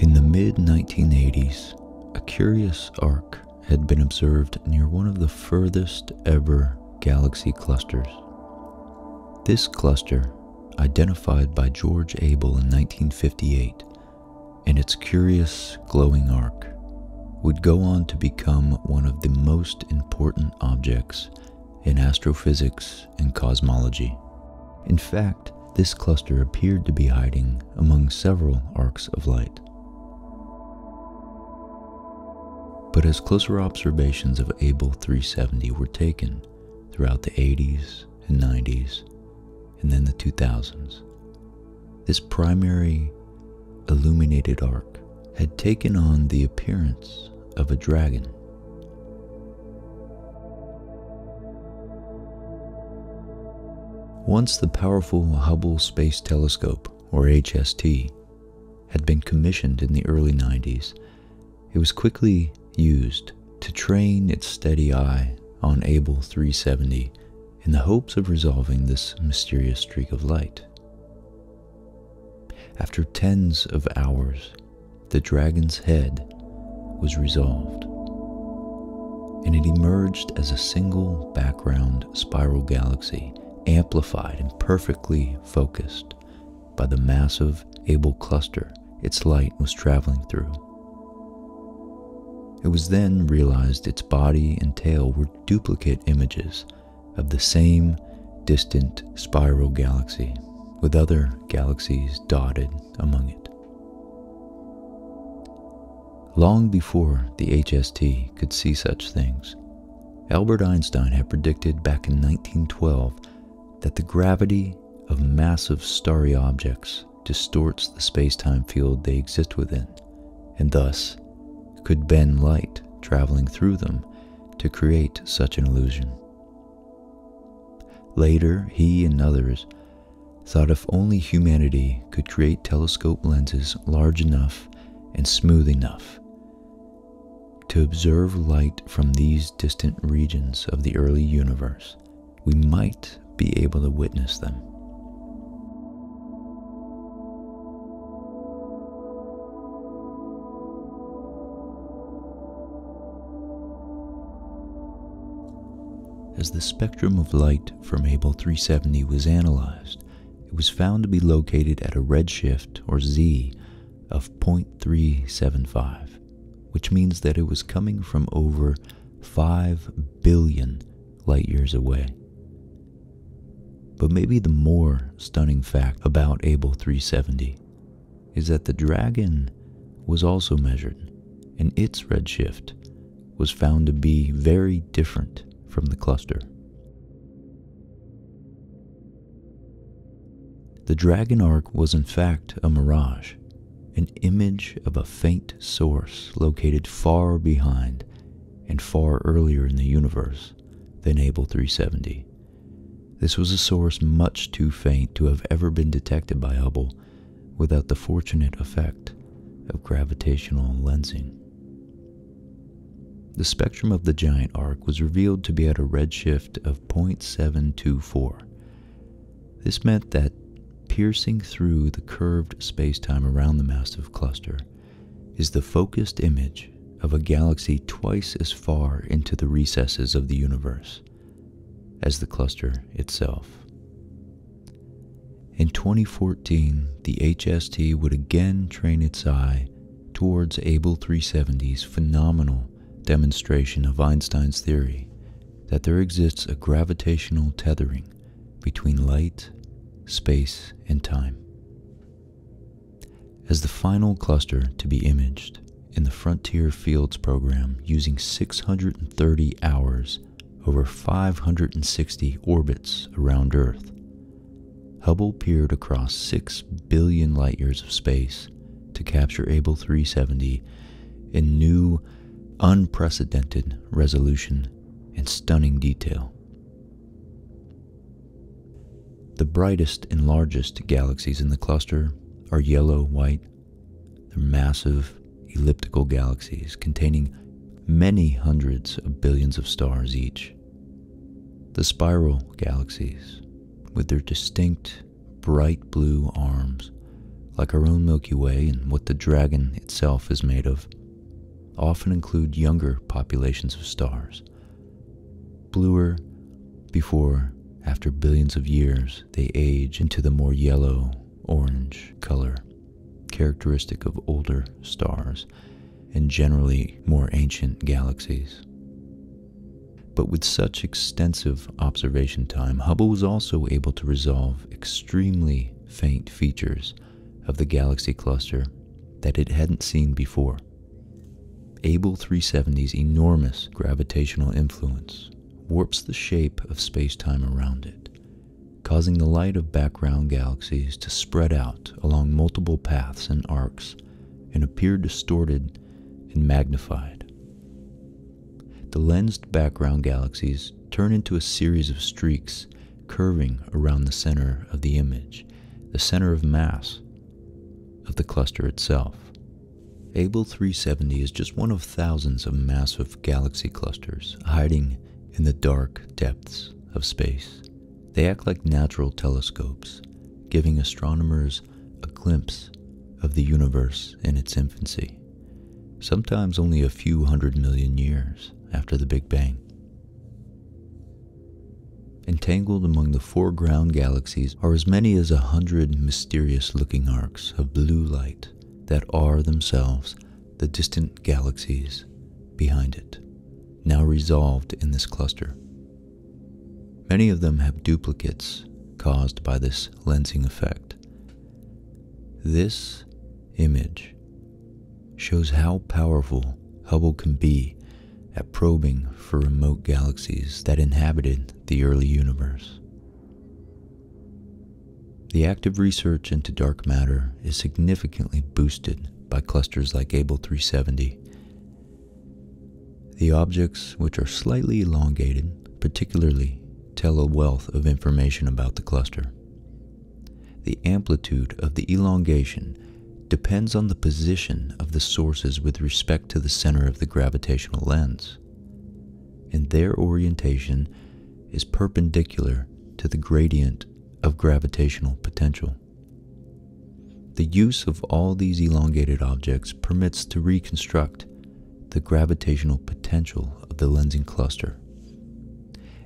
In the mid 1980s, a curious arc had been observed near one of the furthest ever galaxy clusters. This cluster, identified by George Abel in 1958, and its curious glowing arc would go on to become one of the most important objects in astrophysics and cosmology. In fact, this cluster appeared to be hiding among several arcs of light. But as closer observations of Able 370 were taken throughout the 80s and 90s, and then the 2000s, this primary illuminated arc had taken on the appearance of a dragon. Once the powerful Hubble Space Telescope, or HST, had been commissioned in the early 90s, it was quickly used to train its steady eye on Able 370 in the hopes of resolving this mysterious streak of light. After tens of hours, the dragon's head was resolved, and it emerged as a single background spiral galaxy, amplified and perfectly focused by the massive Able cluster its light was traveling through. It was then realized its body and tail were duplicate images of the same distant spiral galaxy, with other galaxies dotted among it. Long before the HST could see such things, Albert Einstein had predicted back in 1912 that the gravity of massive starry objects distorts the space-time field they exist within, and thus could bend light traveling through them to create such an illusion. Later, he and others thought if only humanity could create telescope lenses large enough and smooth enough to observe light from these distant regions of the early universe, we might be able to witness them. As the spectrum of light from Hable 370 was analyzed, it was found to be located at a redshift, or z, of 0.375, which means that it was coming from over 5 billion light years away. But maybe the more stunning fact about Abel 370 is that the dragon was also measured, and its redshift was found to be very different from the cluster. The dragon arc was in fact a mirage, an image of a faint source located far behind and far earlier in the universe source than Able 370. This was a source much too faint to have ever been detected by Hubble without the fortunate effect of gravitational lensing. The spectrum of the giant arc was revealed to be at a redshift of 0.724. This meant that piercing through the curved spacetime around the massive cluster, is the focused image of a galaxy twice as far into the recesses of the universe as the cluster itself. In 2014, the HST would again train its eye towards Able 370's phenomenal demonstration of Einstein's theory that there exists a gravitational tethering between light, space, and time. As the final cluster to be imaged in the Frontier Fields program using 630 hours over 560 orbits around Earth, Hubble peered across 6 billion light years of space to capture Able 370 in new, unprecedented resolution and stunning detail. The brightest and largest galaxies in the cluster are yellow white. They're massive elliptical galaxies containing many hundreds of billions of stars each. The spiral galaxies, with their distinct bright blue arms, like our own Milky Way and what the dragon itself is made of, often include younger populations of stars Bluer before, after billions of years, they age into the more yellow, orange color, characteristic of older stars and generally more ancient galaxies. But with such extensive observation time, Hubble was also able to resolve extremely faint features of the galaxy cluster that it hadn't seen before. Able 370's enormous gravitational influence warps the shape of space-time around it, causing the light of background galaxies to spread out along multiple paths and arcs and appear distorted and magnified. The lensed background galaxies turn into a series of streaks curving around the center of the image, the center of mass of the cluster itself. Able 370 is just one of thousands of massive galaxy clusters hiding in the dark depths of space. They act like natural telescopes, giving astronomers a glimpse of the universe in its infancy, sometimes only a few hundred million years after the Big Bang. Entangled among the foreground galaxies are as many as a hundred mysterious looking arcs of blue light that are themselves the distant galaxies behind it, now resolved in this cluster. Many of them have duplicates caused by this lensing effect. This image shows how powerful Hubble can be at probing for remote galaxies that inhabited the early universe. The active research into dark matter is significantly boosted by clusters like Able 370. The objects, which are slightly elongated, particularly tell a wealth of information about the cluster. The amplitude of the elongation depends on the position of the sources with respect to the center of the gravitational lens, and their orientation is perpendicular to the gradient of gravitational potential. The use of all these elongated objects permits to reconstruct the gravitational potential of the lensing cluster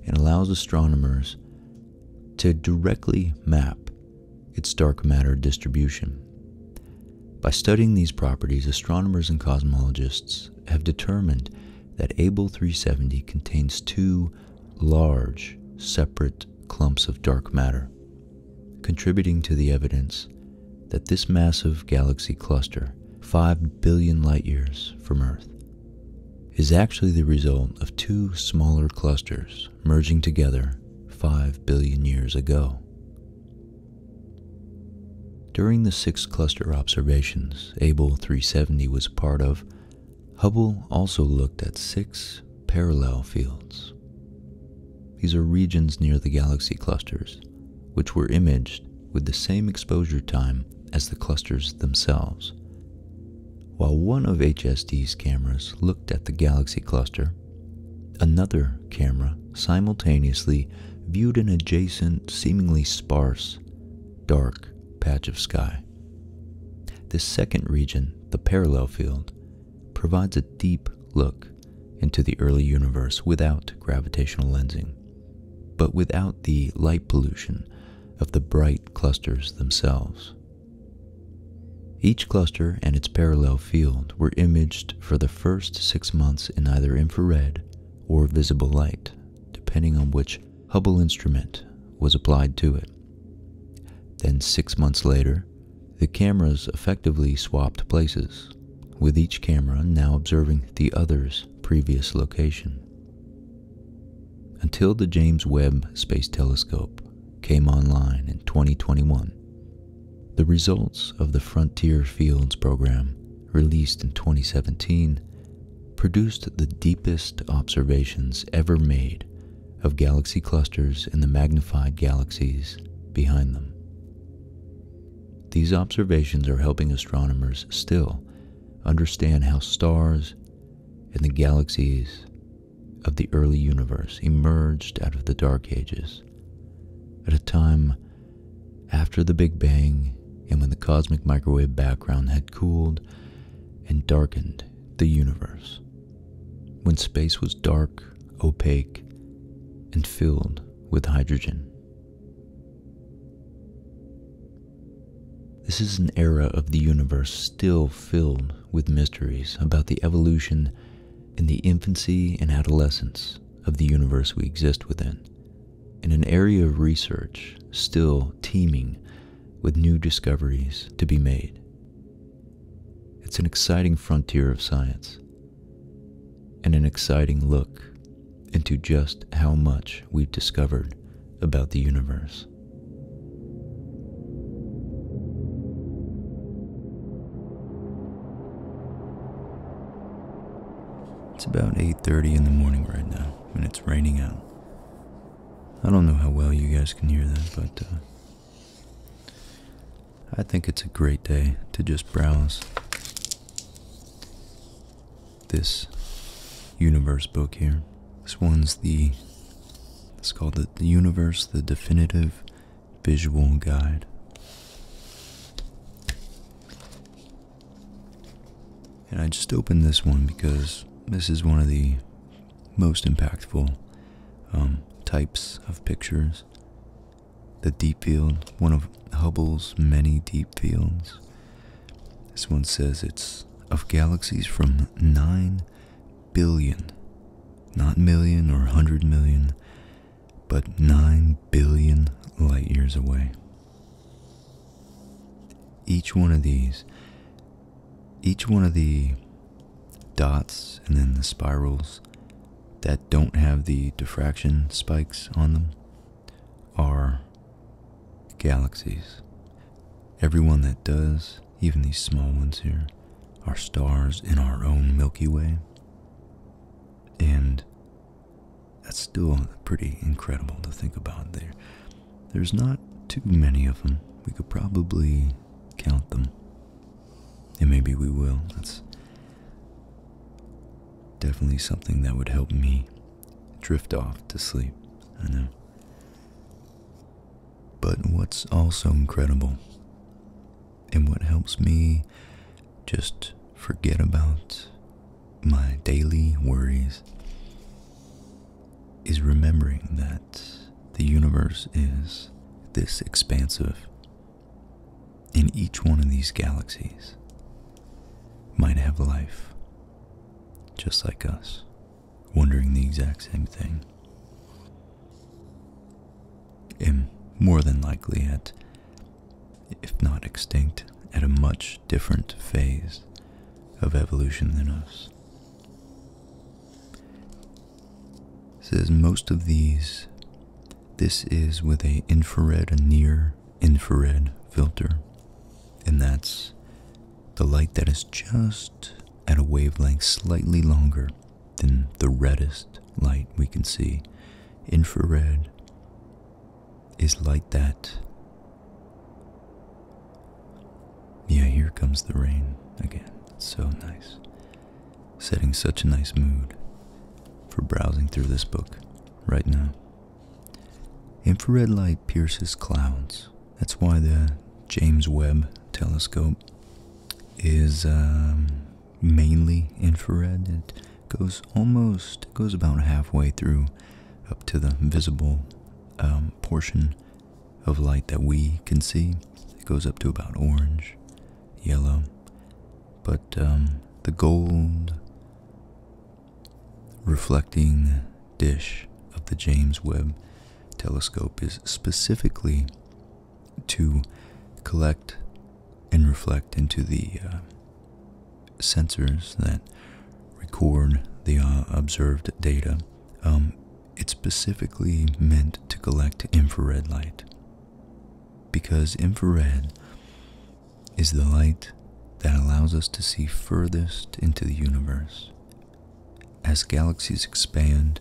and allows astronomers to directly map its dark matter distribution. By studying these properties, astronomers and cosmologists have determined that Able 370 contains two large, separate clumps of dark matter, contributing to the evidence that this massive galaxy cluster, 5 billion light years from Earth, is actually the result of two smaller clusters merging together 5 billion years ago. During the six cluster observations Able 370 was part of, Hubble also looked at six parallel fields. These are regions near the galaxy clusters, which were imaged with the same exposure time as the clusters themselves. While one of HSD's cameras looked at the galaxy cluster, Another camera simultaneously viewed an adjacent, seemingly sparse, dark patch of sky. This second region, the parallel field, provides a deep look into the early universe without gravitational lensing, but without the light pollution of the bright clusters themselves. Each cluster and its parallel field were imaged for the first six months in either infrared or visible light, depending on which Hubble instrument was applied to it. Then six months later, the cameras effectively swapped places, with each camera now observing the other's previous location. Until the James Webb Space Telescope, came online in 2021. The results of the Frontier Fields program, released in 2017, produced the deepest observations ever made of galaxy clusters and the magnified galaxies behind them. These observations are helping astronomers still understand how stars and the galaxies of the early universe emerged out of the Dark Ages at a time after the Big Bang and when the cosmic microwave background had cooled and darkened the universe, when space was dark, opaque, and filled with hydrogen. This is an era of the universe still filled with mysteries about the evolution in the infancy and adolescence of the universe we exist within, in an area of research still teeming with new discoveries to be made. It's an exciting frontier of science and an exciting look into just how much we've discovered about the universe. It's about 8:30 in the morning right now, and it's raining out. I don't know how well you guys can hear that, but uh, I think it's a great day to just browse this universe book here. This one's the it's called the universe, the definitive visual guide. And I just opened this one because this is one of the most impactful um, types of pictures. The deep field, one of Hubble's many deep fields. This one says it's of galaxies from 9 billion not million or a 100 million, but 9 billion light years away. Each one of these, each one of the dots and then the spirals that don't have the diffraction spikes on them are galaxies. Every one that does even these small ones here, are stars in our own Milky Way. And that's still pretty incredible to think about there. There's not too many of them. We could probably count them. And maybe we will. That's definitely something that would help me drift off to sleep. I know. But what's also incredible and what helps me just forget about my daily worries is remembering that the universe is this expansive, and each one of these galaxies might have life just like us, wondering the exact same thing am more than likely at, if not extinct, at a much different phase of evolution than us. says most of these, this is with a infrared, a near infrared filter, and that's the light that is just at a wavelength slightly longer then the reddest light we can see, infrared, is light that. Yeah, here comes the rain again. so nice. Setting such a nice mood for browsing through this book right now. Infrared light pierces clouds. That's why the James Webb telescope is um, mainly infrared. It goes almost goes about halfway through up to the visible um, portion of light that we can see. It goes up to about orange, yellow, but um, the gold reflecting dish of the James Webb telescope is specifically to collect and reflect into the uh, sensors that record the uh, observed data. Um, it's specifically meant to collect infrared light because infrared is the light that allows us to see furthest into the universe. As galaxies expand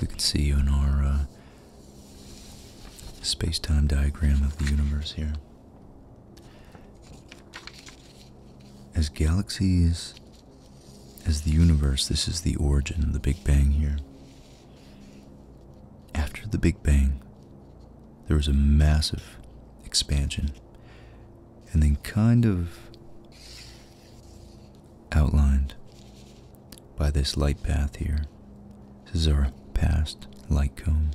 we can see in our uh, space time diagram of the universe here. As galaxies, as the universe, this is the origin, the Big Bang here. After the Big Bang, there was a massive expansion, and then kind of outlined by this light path here. This is our past light cone.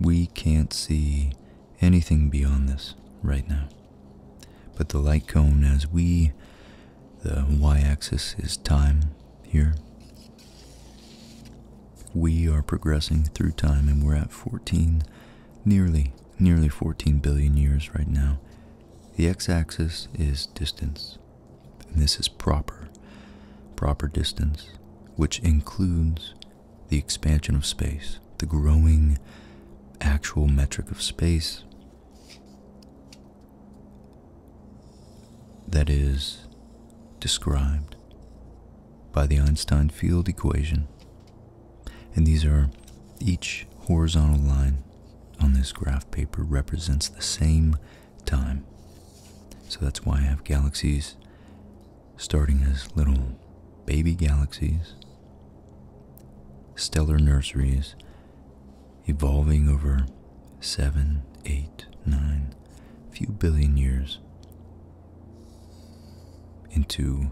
We can't see anything beyond this right now. But the light cone as we, the y-axis is time here. We are progressing through time and we're at 14, nearly, nearly 14 billion years right now the x-axis is distance, and this is proper, proper distance, which includes the expansion of space, the growing actual metric of space that is described by the Einstein field equation and these are each horizontal line on this graph paper represents the same time. So that's why I have galaxies starting as little baby galaxies, stellar nurseries, evolving over seven, eight, nine, few billion years into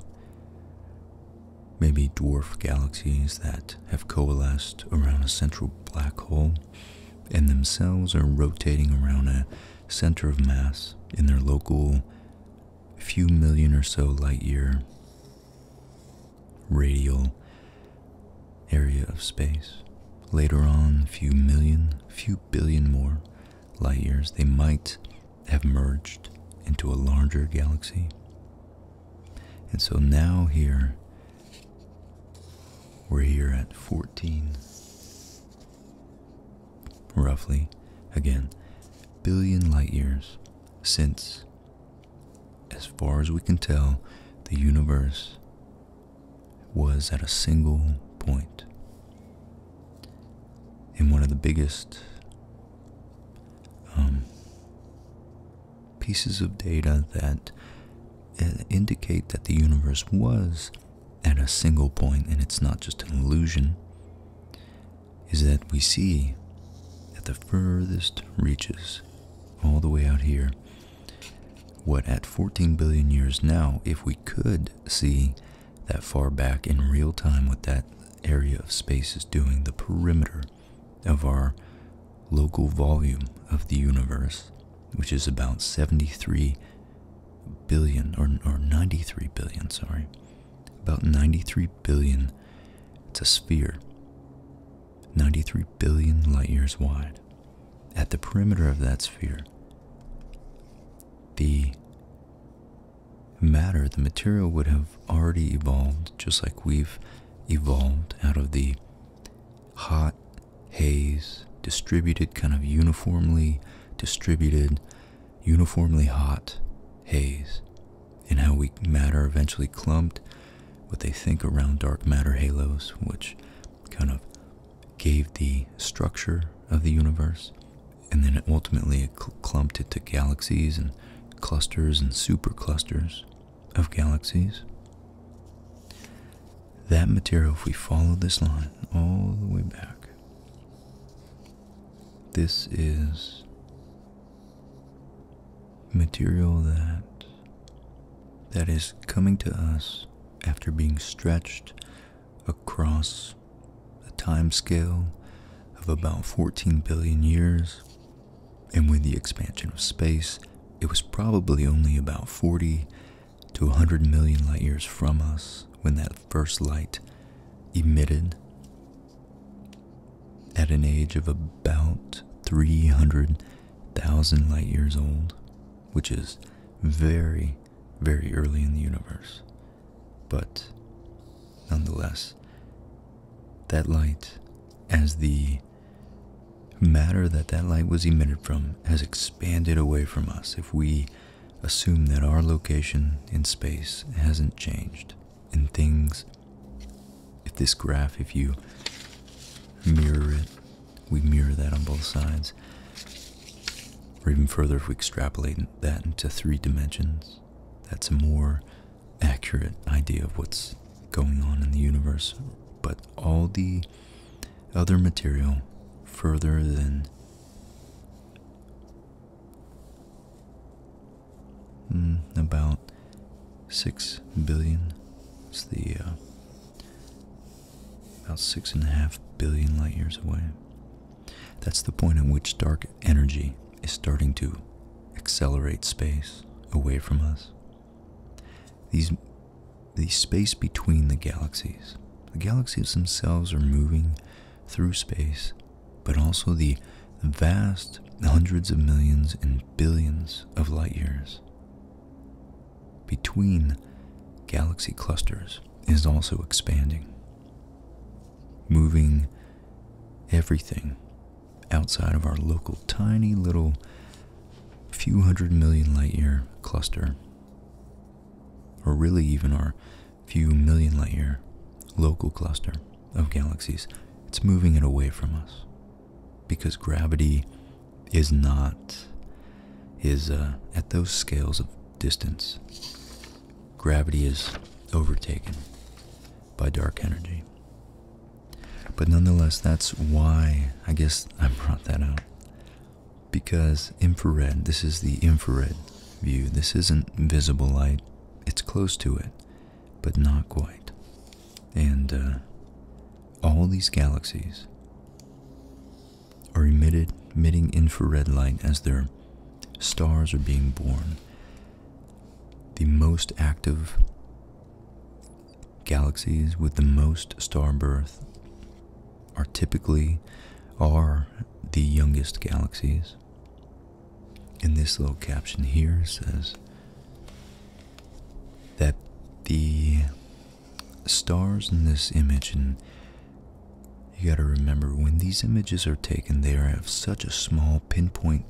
maybe dwarf galaxies that have coalesced around a central black hole and themselves are rotating around a center of mass in their local few million or so light year radial area of space. Later on, a few million, few billion more light years, they might have merged into a larger galaxy. And so now here, we're here at 14, roughly, again, billion light years since, as far as we can tell, the universe was at a single point. in one of the biggest um, pieces of data that uh, indicate that the universe was at a single point and it's not just an illusion is that we see at the furthest reaches, all the way out here, what at 14 billion years now, if we could see that far back in real time what that area of space is doing, the perimeter of our local volume of the universe, which is about 73 billion or, 93 billion, sorry, about 93 billion. It's a sphere, 93 billion light years wide. At the perimeter of that sphere, the matter, the material would have already evolved just like we've evolved out of the hot haze distributed kind of uniformly distributed uniformly hot haze and how we matter eventually clumped what they think around dark matter halos which kind of gave the structure of the universe and then ultimately it clumped it to galaxies and clusters and superclusters of galaxies. That material, if we follow this line all the way back, this is material that that is coming to us after being stretched across a time scale of about 14 billion years and with the expansion of space, it was probably only about 40 to 100 million light years from us when that first light emitted at an age of about 300,000 light years old, which is very, very early in the universe. But nonetheless, that light, as the matter that that light was emitted from has expanded away from us if we assume that our location in space hasn't changed and things if this graph if you mirror it we mirror that on both sides or even further if we extrapolate that into three dimensions that's a more accurate idea of what's going on in the universe, but all the other material further than mm, about six billion. It's the uh, about six and a half billion light years away. That's the point at which dark energy is starting to accelerate space away from us. These the space between the galaxies. The galaxies themselves are moving through space, but also the vast hundreds of millions and billions of light years. Between galaxy clusters is also expanding, moving everything outside of our local tiny little few hundred million light year cluster, or really even our few million light year local cluster of galaxies. It's moving it away from us because gravity is not is uh, at those scales of distance gravity is overtaken by dark energy but nonetheless, that's why I guess I brought that out Because infrared, this is the infrared view. This isn't visible light, it's close to it, but not quite. And uh, all these galaxies are emitted, emitting infrared light as their stars are being born. The most active Galaxies with the most star birth are typically are the youngest galaxies. And this little caption here says that the stars in this image and you got to remember when these images are taken they are of such a small pinpoint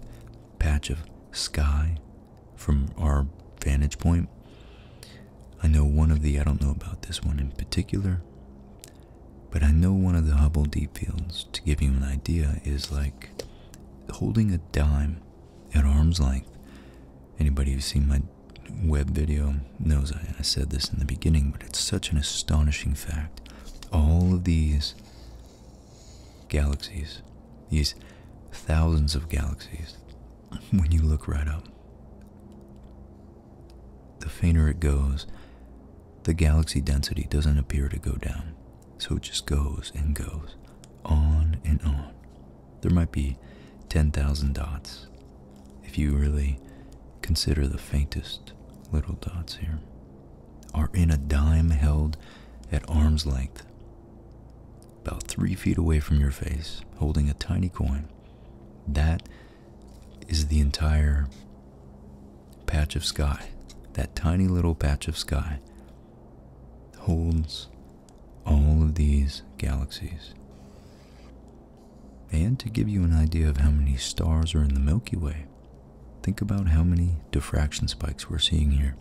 patch of sky from our vantage point. I know one of the, I don't know about this one in particular, but I know one of the Hubble Deep Fields, to give you an idea, is like holding a dime at arm's length. Anybody who's seen my web video knows I, said this in the beginning, but it's such an astonishing fact. All of these Galaxies. These thousands of galaxies. When you look right up, the fainter it goes, the galaxy density doesn't appear to go down. So it just goes and goes, on and on. There might be 10,000 dots if you really consider the faintest little dots here, are in a dime held at arm's length about three feet away from your face, holding a tiny coin. That is the entire patch of sky. That tiny little patch of sky holds all of these galaxies. And to give you an idea of how many stars are in the Milky Way, think about how many diffraction spikes we're seeing here.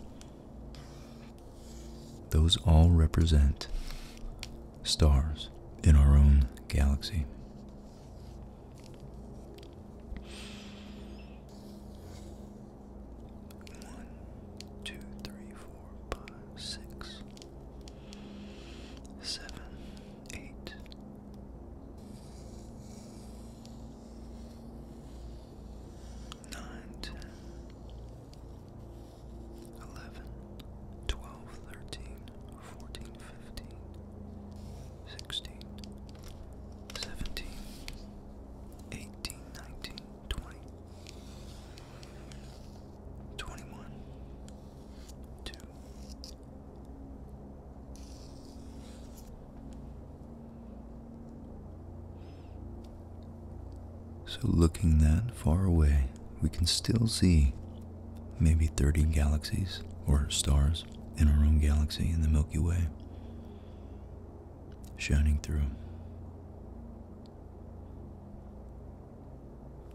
Those all represent stars in our own galaxy. One, two, three, four, five, six, seven, eight. 9, 10, 11, 12, 13, 14, 15, 16, 17, 18, 19, 20, 21, 2 so, looking that far away, we can still see maybe 30 galaxies or stars in our own galaxy in the Milky Way shining through.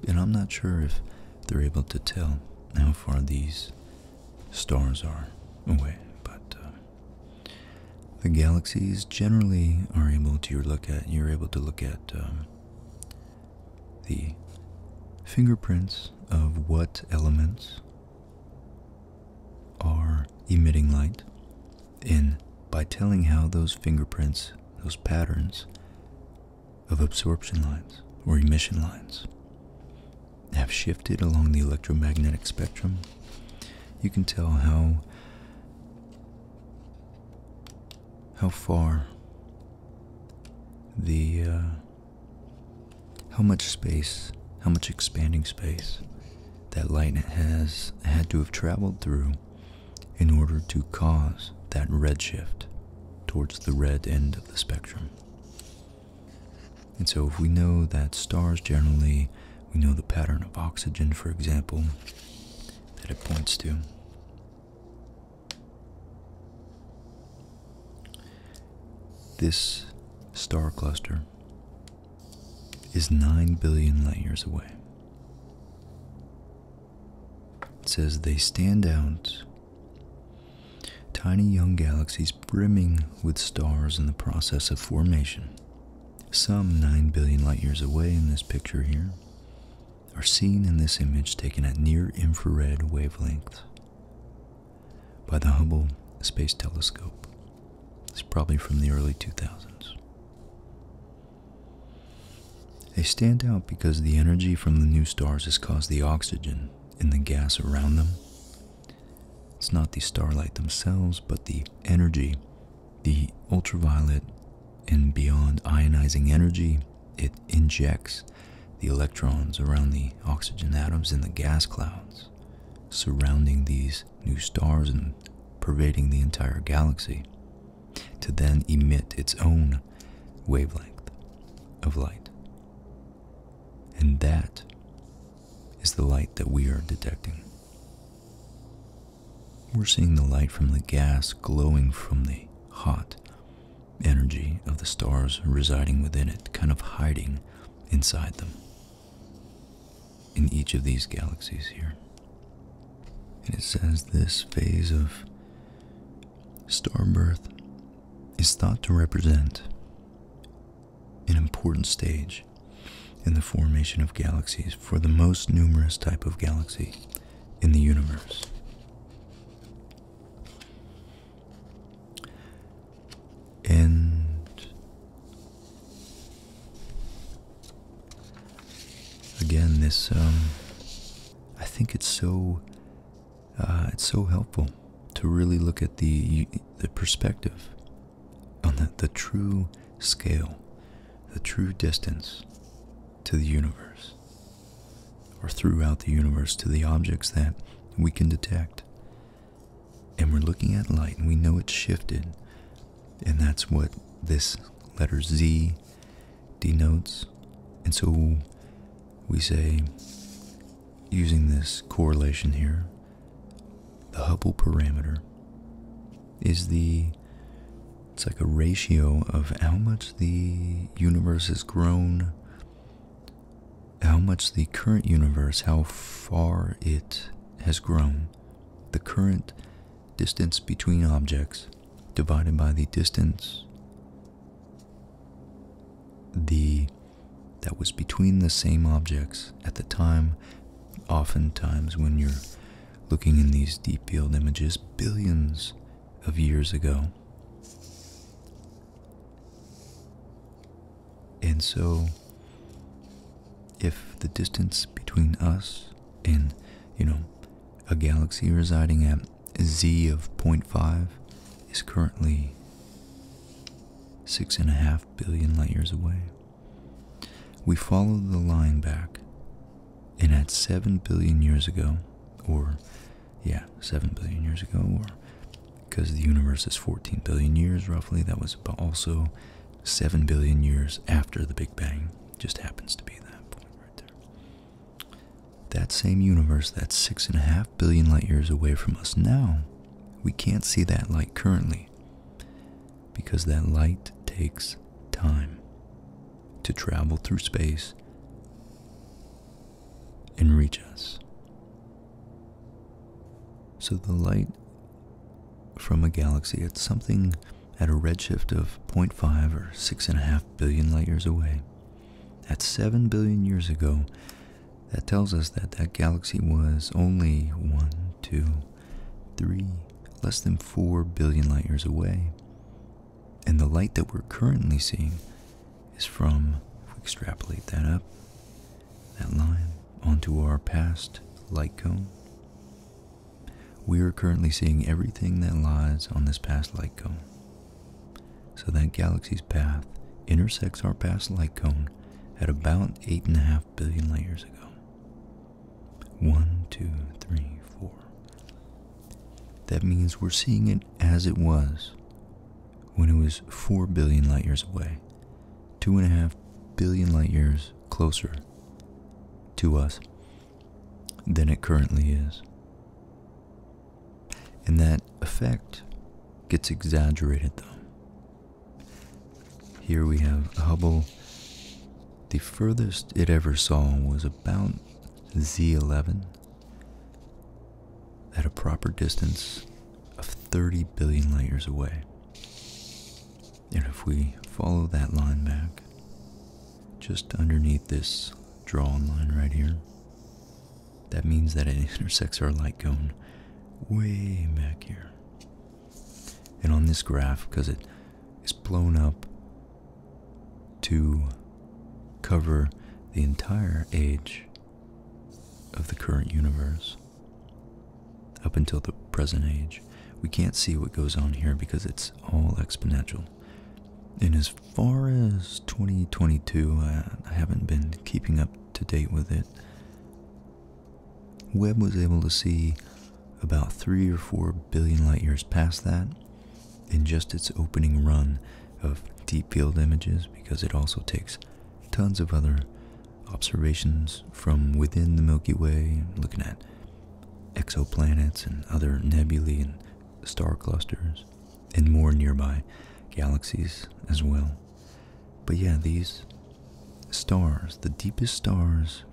And I'm not sure if they're able to tell how far these stars are away, but uh, the galaxies generally are able to look at. You're able to look at um, the fingerprints of what elements are emitting light, and by telling how those fingerprints, those patterns of absorption lines or emission lines have shifted along the electromagnetic spectrum, you can tell how how far the uh, how much space, how much expanding space that light has had to have traveled through in order to cause that redshift towards the red end of the spectrum. And so, if we know that stars generally we know the pattern of oxygen, for example, that it points to. This star cluster is 9 billion light years away. It says they stand out, tiny young galaxies brimming with stars in the process of formation some 9 billion light years away in this picture here, are seen in this image taken at near infrared wavelengths by the Hubble Space Telescope. It's probably from the early 2000s. They stand out because the energy from the new stars has caused the oxygen in the gas around them. It's not the starlight themselves, but the energy the ultraviolet and beyond ionizing energy, it injects the electrons around the oxygen atoms in the gas clouds surrounding these new stars and pervading the entire galaxy to then emit its own wavelength of light. And that is the light that we are detecting. We're seeing the light from the gas glowing from the hot energy of the stars residing within it, kind of hiding inside them in each of these galaxies here. And it says this phase of star birth is thought to represent an important stage in the formation of galaxies for the most numerous type of galaxy in the universe. And again, this um, I think it's so uh, it's so helpful to really look at the the perspective on the, true scale, the true distance to the universe, or throughout the universe to the objects that we can detect. And we're looking at light and we know it's shifted, and that's what this letter Z denotes. And so we say, using this correlation here, the Hubble parameter is the it's like a ratio of how much the universe has grown how much the current universe how far it has grown the current distance between objects divided by the distance the that was between the same objects at the time oftentimes when you're looking in these deep field images billions of years ago. And so, if the distance between us and, you know, a galaxy residing at z of 0.5 is currently six and a half billion light years away, we follow the line back, and at 7 billion years ago, or yeah, 7 billion years ago, or because the universe is 14 billion years roughly, that was also 7 billion years after the Big Bang, just happens to be that point right there. That same universe that's 6.5 billion light years away from us now, we can't see that light currently because that light takes time to travel through space and reach us. So the light from a galaxy at something at a redshift of 0.5 or 6.5 billion light years away, at 7 billion years ago, that tells us that that galaxy was only 1, 2, three, less than four billion light years away. And the light that we're currently seeing is from, if we extrapolate that up, that line onto our past light cone. We are currently seeing everything that lies on this past light cone. So that galaxy's path intersects our past light cone at about 8.5 billion light years ago. One, two, three, four. That means we're seeing it as it was when it was 4 billion light years away, 2.5 billion light years closer to us than it currently is. And that effect gets exaggerated though. Here we have Hubble the furthest it ever saw was about Z11 at a proper distance of 30 billion light-years away. And if we follow that line back, just underneath this drawing line right here, that means that it intersects our light cone way back here. And on this graph, because it is blown up to cover the entire age of the current universe up until the present age, we can't see what goes on here because it's all exponential. And as far as 2022, I, I haven't been keeping up to date with it. Webb was able to see about three or four billion light years past that in just its opening run of deep field images because it also takes tons of other observations from within the Milky Way, looking at exoplanets and other nebulae and star clusters and more nearby galaxies as well. But yeah, these stars, the deepest stars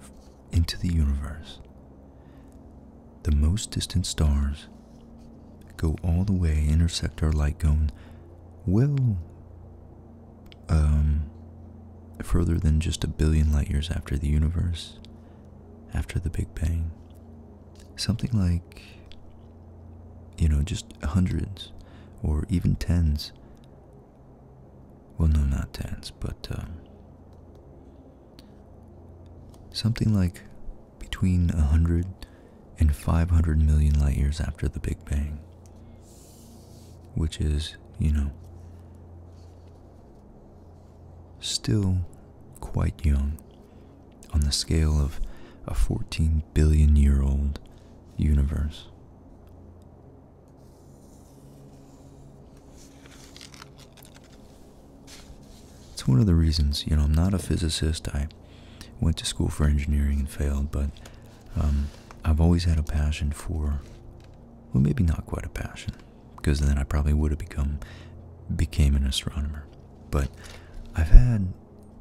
into the universe. The most distant stars go all the way, intersect our light cone well um, further than just a billion light years after the universe, after the Big Bang. Something like, you know, just hundreds or even tens well, no, not dance, but um, something like between 100 and 500 million light years after the Big Bang, which is, you know, still quite young on the scale of a 14 billion year old universe. It's one of the reasons, you know, I'm not a physicist. I went to school for engineering and failed, but um, I've always had a passion for, well, maybe not quite a passion, because then I probably would have become became an astronomer. But I've had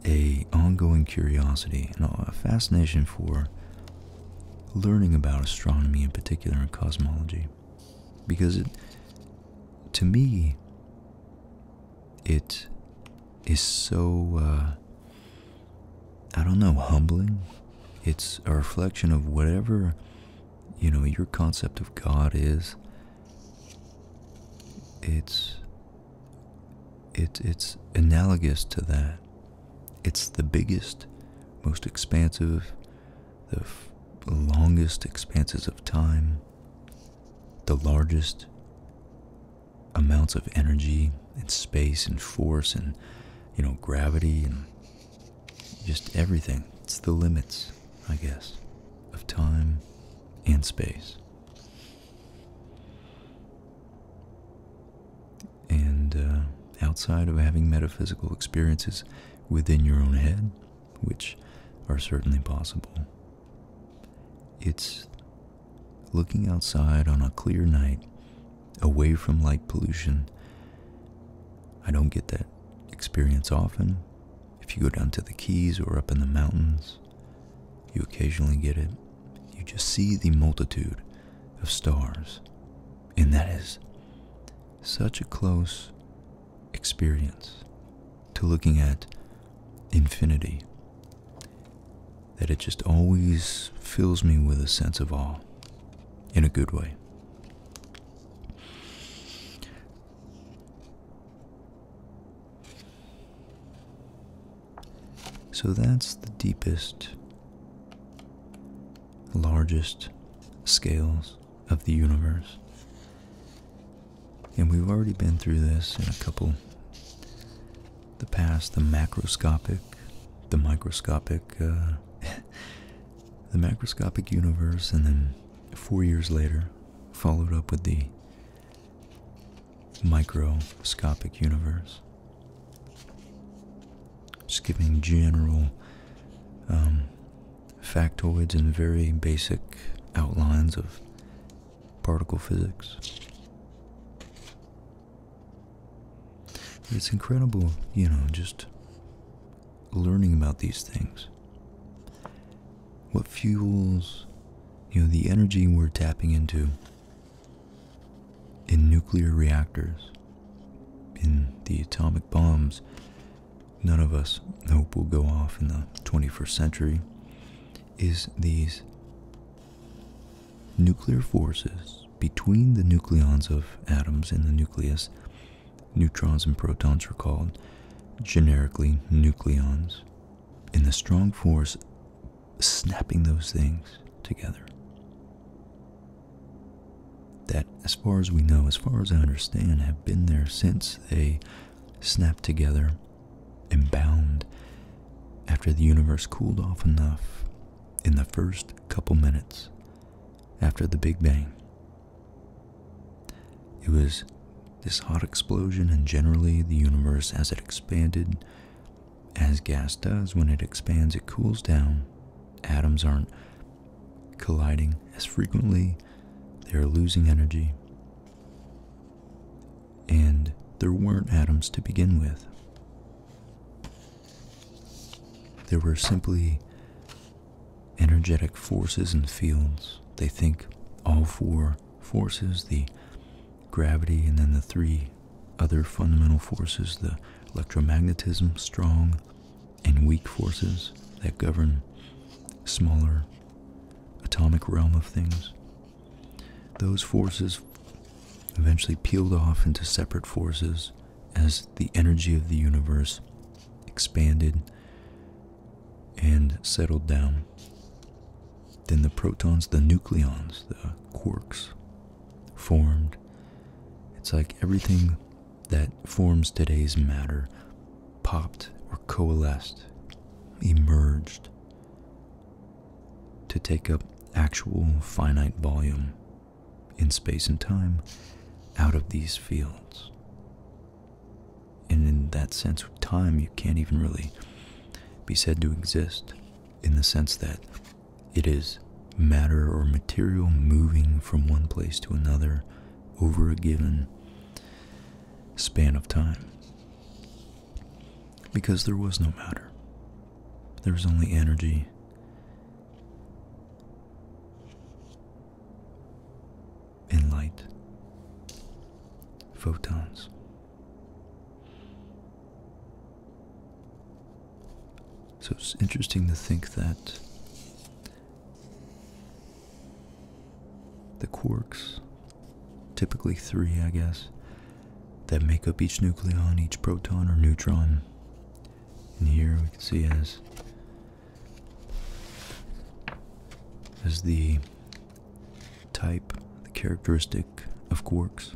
a ongoing curiosity and a fascination for learning about astronomy in particular and cosmology because to me it is so uh, I don't know humbling it's a reflection of whatever you know your concept of God is it's it, it's analogous to that it's the biggest most expansive the longest expanses of time, the largest amounts of energy and space and force and you know gravity and just everything. It's the limits, I guess, of time and space. And uh, outside of having metaphysical experiences within your own head, which are certainly possible. It's looking outside on a clear night, away from light pollution. I don't get that experience often. If you go down to the Keys or up in the mountains, you occasionally get it. You just see the multitude of stars, and that is such a close experience to looking at infinity that it just always fills me with a sense of awe in a good way. So that's the deepest, largest scales of the universe. And we've already been through this in a couple the past the macroscopic, the microscopic, uh, the macroscopic universe, and then four years later, followed up with the microscopic universe just giving general um, factoids and very basic outlines of particle physics. It's incredible, you know, just learning about these things. What fuels, you know, the energy we're tapping into in nuclear reactors, in the atomic bombs, none of us hope will go off in the 21st century is these nuclear forces between the nucleons of atoms in the nucleus. Neutrons and protons are called generically nucleons, and the strong force snapping those things together that, as far as we know, as far as I understand, have been there since they snapped together and bound after the universe cooled off enough in the first couple minutes after the Big Bang. It was this hot explosion, and generally, the universe as it expanded, as gas does when it expands, it cools down. Atoms aren't colliding as frequently, they are losing energy, and there weren't atoms to begin with. There were simply energetic forces and fields. They think all four forces the gravity, and then the three other fundamental forces the electromagnetism, strong, and weak forces that govern smaller atomic realm of things. Those forces eventually peeled off into separate forces as the energy of the universe expanded and settled down. Then the protons, the nucleons, the quarks formed. It's like everything that forms today's matter popped or coalesced, emerged to take up actual finite volume in space and time out of these fields. And in that sense, time you can't even really be said to exist in the sense that it is matter or material moving from one place to another over a given span of time. Because there was no matter, there was only energy. And light, photons. So it's interesting to think that the quarks, typically three, I guess, that make up each nucleon, each proton or neutron. And here we can see as as the type, the characteristic of quarks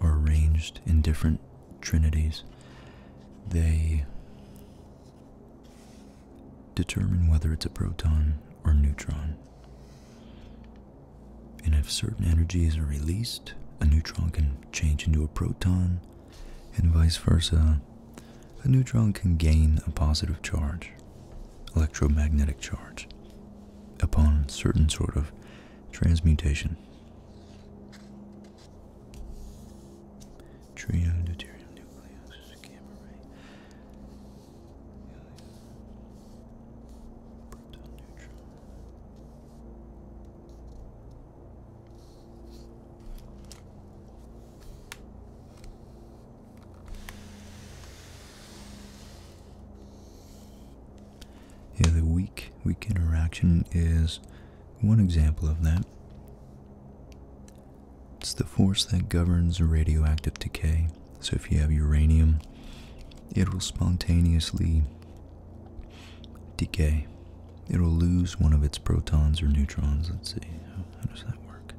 are arranged in different trinities, they determine whether it's a proton or neutron. And if certain energies are released, a neutron can change into a proton, and vice versa. A neutron can gain a positive charge, electromagnetic charge, upon certain sort of transmutation. Trion deuterium nucleus is a gamma the weak weak interaction is one example of that. It's the force that governs radioactive decay. So if you have uranium, it will spontaneously decay. It'll lose one of its protons or neutrons. Let's see, how does that work?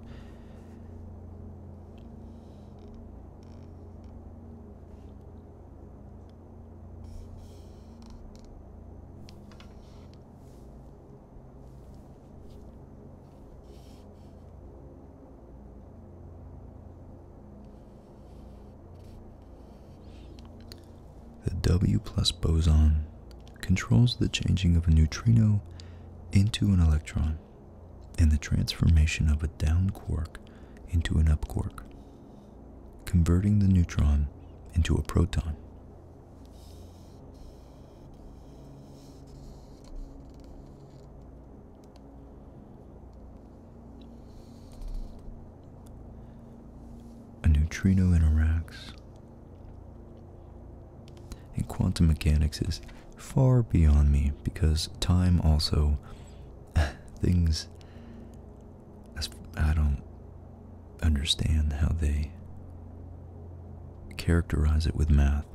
The W plus boson controls the changing of a neutrino into an electron and the transformation of a down quark into an up quark, converting the neutron into a proton. A neutrino interacts, and quantum mechanics is far beyond me because time also things I don't understand how they characterize it with math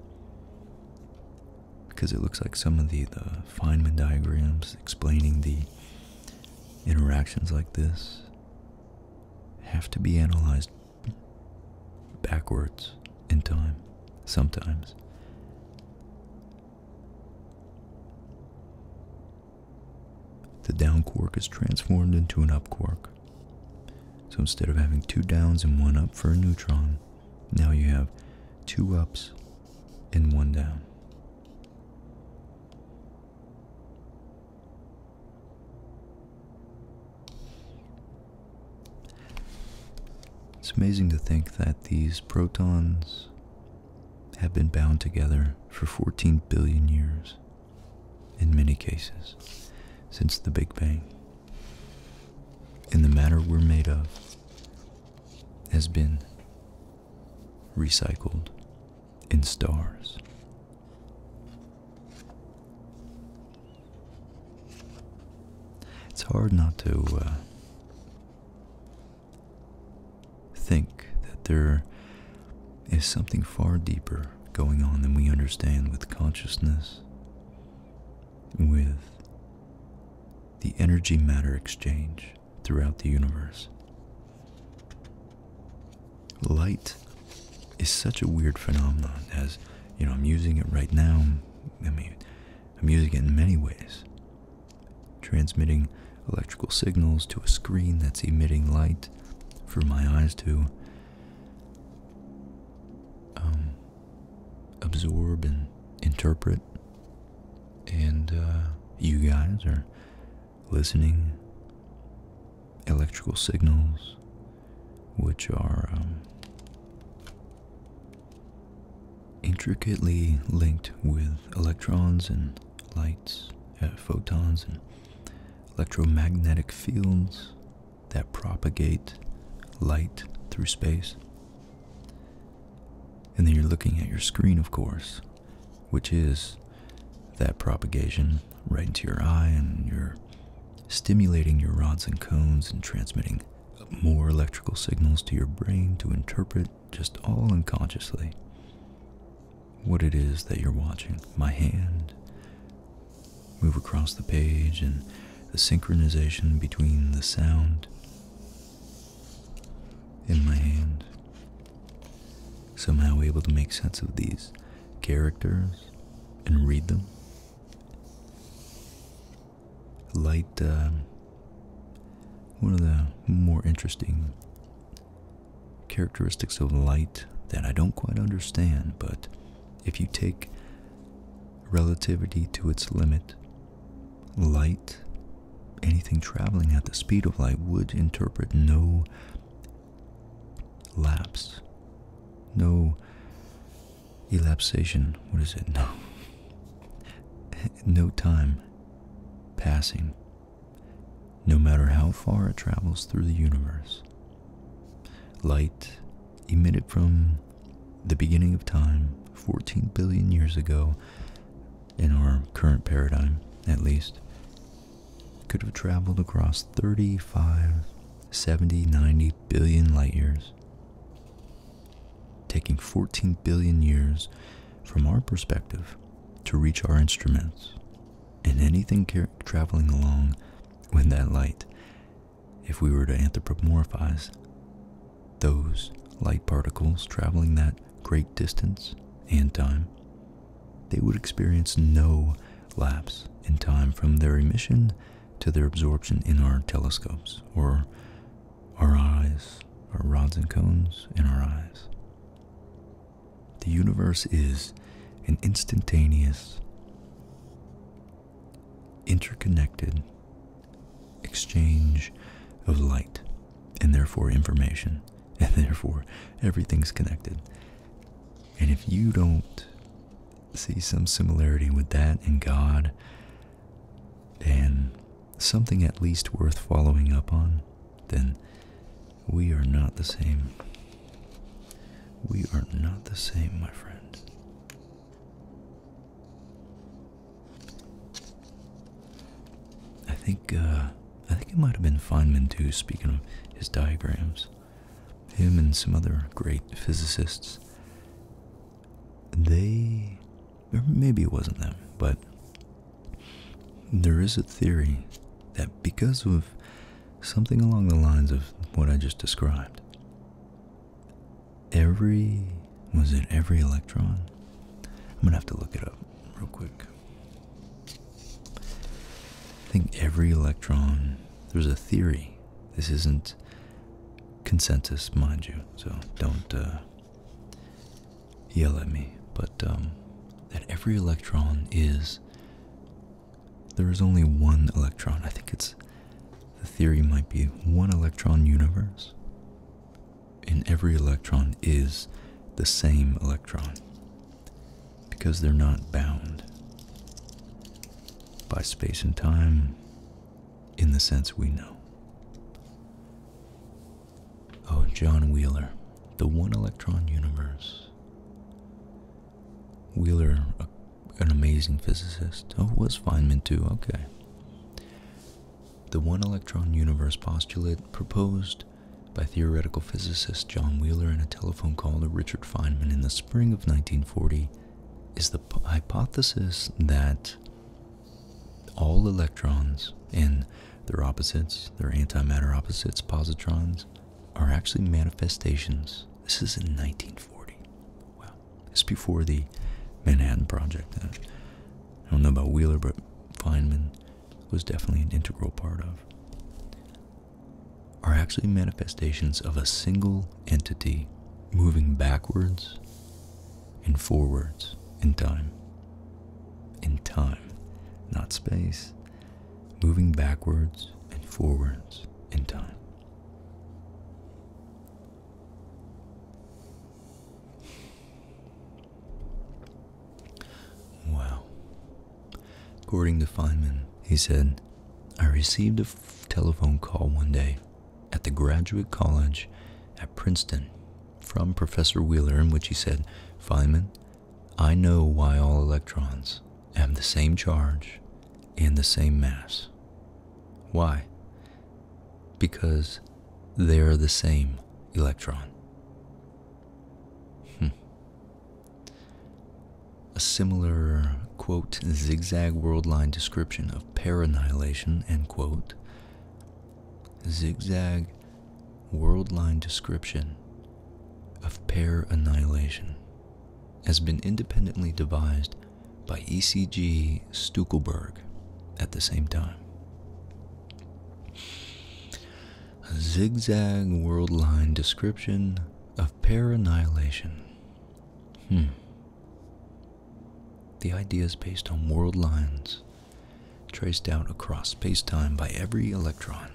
because it looks like some of the, the Feynman diagrams explaining the interactions like this have to be analyzed backwards in time sometimes the down quark is transformed into an up quark. So instead of having two downs and one up for a neutron, now you have two ups and one down. It's amazing to think that these protons have been bound together for 14 billion years in many cases since the Big Bang. And the matter we're made of has been recycled in stars. It's hard not to uh, think that there is something far deeper going on than we understand with consciousness, with the energy matter exchange throughout the universe. Light is such a weird phenomenon as, you know, I'm using it right now. I mean, I'm using it in many ways. Transmitting electrical signals to a screen that's emitting light for my eyes to um, absorb and interpret. And uh, you guys are listening electrical signals, which are um, intricately linked with electrons and lights, uh, photons and electromagnetic fields that propagate light through space. And then you're looking at your screen, of course, which is that propagation right into your eye, and you're stimulating your rods and cones and transmitting more electrical signals to your brain to interpret just all unconsciously what it is that you're watching. My hand move across the page and the synchronization between the sound in my hand. Somehow able to make sense of these characters and read them. Light, um, one of the more interesting characteristics of light that I don't quite understand, but if you take relativity to its limit, light, anything traveling at the speed of light, would interpret no lapse, no elapsation. What is it? No. No time passing no matter how far it travels through the universe. Light emitted from the beginning of time, 14 billion years ago, in our current paradigm at least, could have traveled across 35, 70, 90 billion light years. Taking 14 billion years from our perspective to reach our instruments and anything traveling along with that light, if we were to anthropomorphize those light particles traveling that great distance and time, they would experience no lapse in time from their emission to their absorption in our telescopes or our eyes, our rods and cones in our eyes. The universe is an instantaneous, interconnected exchange of light and therefore information, and therefore everything's connected. And if you don't see some similarity with that in God and something at least worth following up on, then we are not the same. We are not the same, my friend. I think uh, I think it might have been Feynman too. Speaking of his diagrams, him and some other great physicists. They, or maybe it wasn't them, but there is a theory that because of something along the lines of what I just described. Every, was it every electron? I'm gonna have to look it up real quick. I think every electron, there's a theory. This isn't consensus, mind you, so don't uh, yell at me. But um, that every electron is there is only one electron. I think it's the theory might be one electron universe. In every electron is the same electron because they're not bound by space and time in the sense we know. Oh, John Wheeler, the one electron universe. Wheeler, an amazing physicist. Oh, was Feynman too, okay. The one electron universe postulate proposed by theoretical physicist John Wheeler in a telephone call to Richard Feynman in the spring of 1940 is the hypothesis that all electrons and their opposites, their antimatter opposites, positrons, are actually manifestations. This is in 1940. Wow. It's before the Manhattan Project. Uh, I don't know about Wheeler, but Feynman was definitely an integral part of. Are actually manifestations of a single entity moving backwards and forwards in time. In time, not space, moving backwards and forwards in time. Wow. According to Feynman, he said, I received a telephone call one day at the graduate college at Princeton from Professor Wheeler in which he said, Feynman, I know why all electrons have the same charge and the same mass. Why? Because they are the same electron. Hmm. A similar, quote, zigzag world line description of paranihilation, end quote, zigzag world line description of pair annihilation has been independently devised by E.C.G. Stuckelberg at the same time. A zigzag world line description of paranihilation. Hmm. The idea is based on world lines traced out across space time by every electron.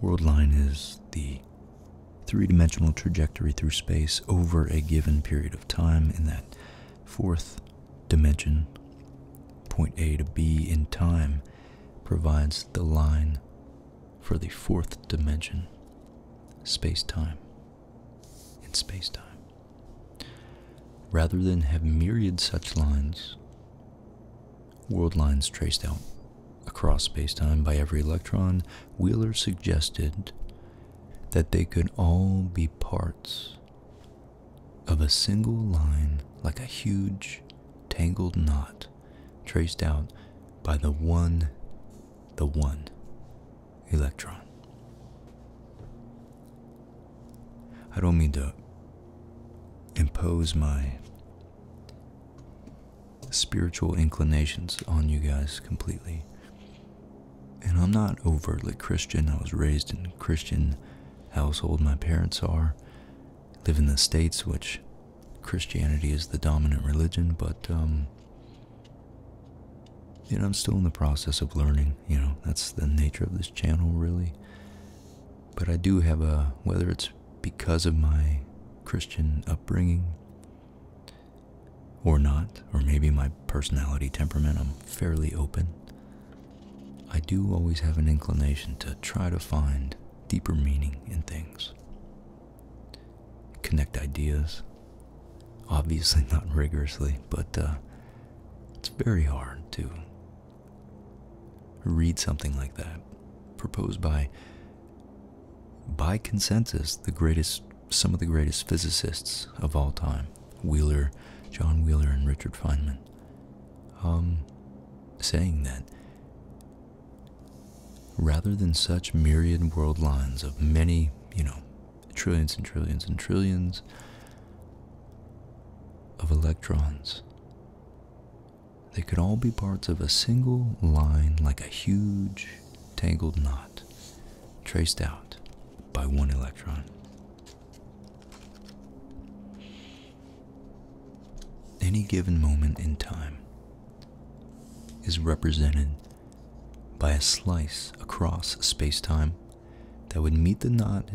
World line is the three-dimensional trajectory through space over a given period of time in that fourth dimension point a to b in time provides the line for the fourth dimension space-time in space-time rather than have myriad such lines world lines traced out across spacetime by every electron, Wheeler suggested that they could all be parts of a single line like a huge tangled knot traced out by the one, the one electron. I don't mean to impose my spiritual inclinations on you guys completely. And I'm not overtly Christian. I was raised in a Christian household. My parents are. Live in the States, which Christianity is the dominant religion, but, um, you know, I'm still in the process of learning. You know, that's the nature of this channel, really. But I do have a, whether it's because of my Christian upbringing or not, or maybe my personality temperament, I'm fairly open. I do always have an inclination to try to find deeper meaning in things, connect ideas. Obviously, not rigorously, but uh, it's very hard to read something like that proposed by by consensus, the greatest, some of the greatest physicists of all time: Wheeler, John Wheeler, and Richard Feynman. Um, saying that rather than such myriad world lines of many, you know, trillions and trillions and trillions of electrons they could all be parts of a single line like a huge tangled knot traced out by one electron. Any given moment in time is represented by a slice across space-time that would meet the knot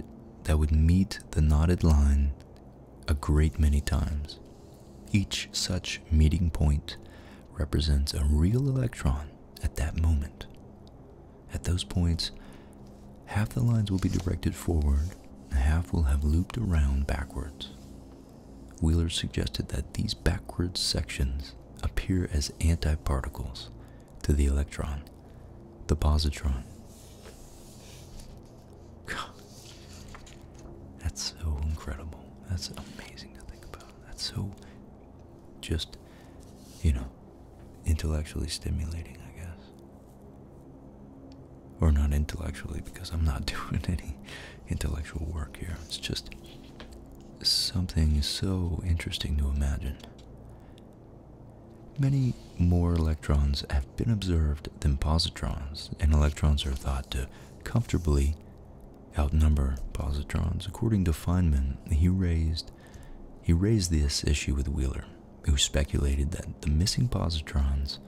that would meet the knotted line a great many times each such meeting point represents a real electron at that moment. At those points, half the lines will be directed forward, and half will have looped around backwards. Wheeler suggested that these backwards sections appear as antiparticles to the electron, the positron. That's so incredible. That's amazing to think about. That's so just, you know, intellectually stimulating, I guess. Or not intellectually, because I'm not doing any intellectual work here. It's just something so interesting to imagine. Many more electrons have been observed than positrons, and electrons are thought to comfortably outnumber positrons. According to Feynman, he raised he raised this issue with Wheeler, who speculated that the missing positrons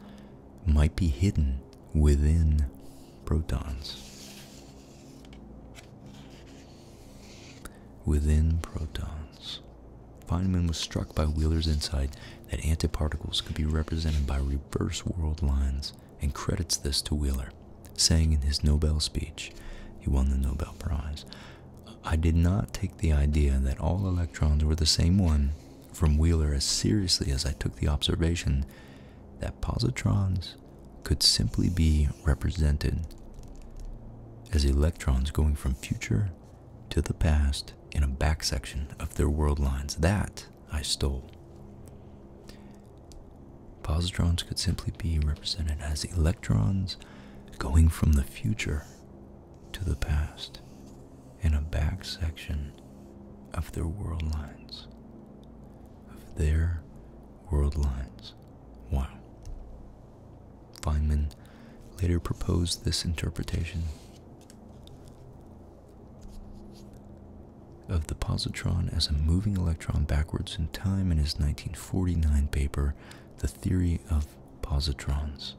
might be hidden within protons. Within protons. Feynman was struck by Wheeler's insight that antiparticles could be represented by reverse world lines and credits this to Wheeler, saying in his Nobel speech, he won the Nobel Prize, I did not take the idea that all electrons were the same one from Wheeler as seriously as I took the observation that positrons could simply be represented as electrons going from future to the past in a back section of their world lines. That I stole. Positrons could simply be represented as electrons going from the future to the past in a back section of their world lines. Of their world lines. Wow. Feynman later proposed this interpretation of the positron as a moving electron backwards in time in his 1949 paper, The Theory of Positrons.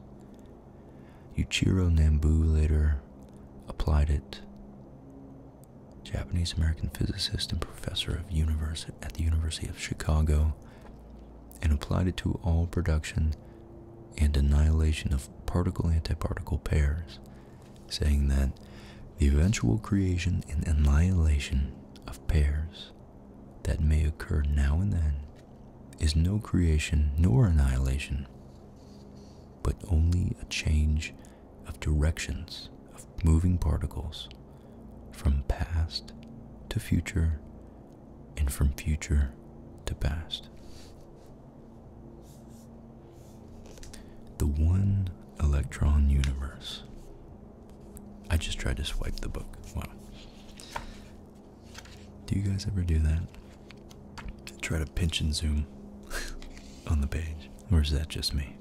Yuichiro Nambu later applied it. Japanese American physicist and professor of at the University of Chicago, and applied it to all production and annihilation of particle antiparticle pairs, saying that the eventual creation and annihilation of pairs that may occur now and then is no creation nor annihilation, but only a change of directions of moving particles from past to future and from future to past. The one electron universe. I just tried to swipe the book. Wow. Do you guys ever do that? Try to pinch and zoom on the page, or is that just me?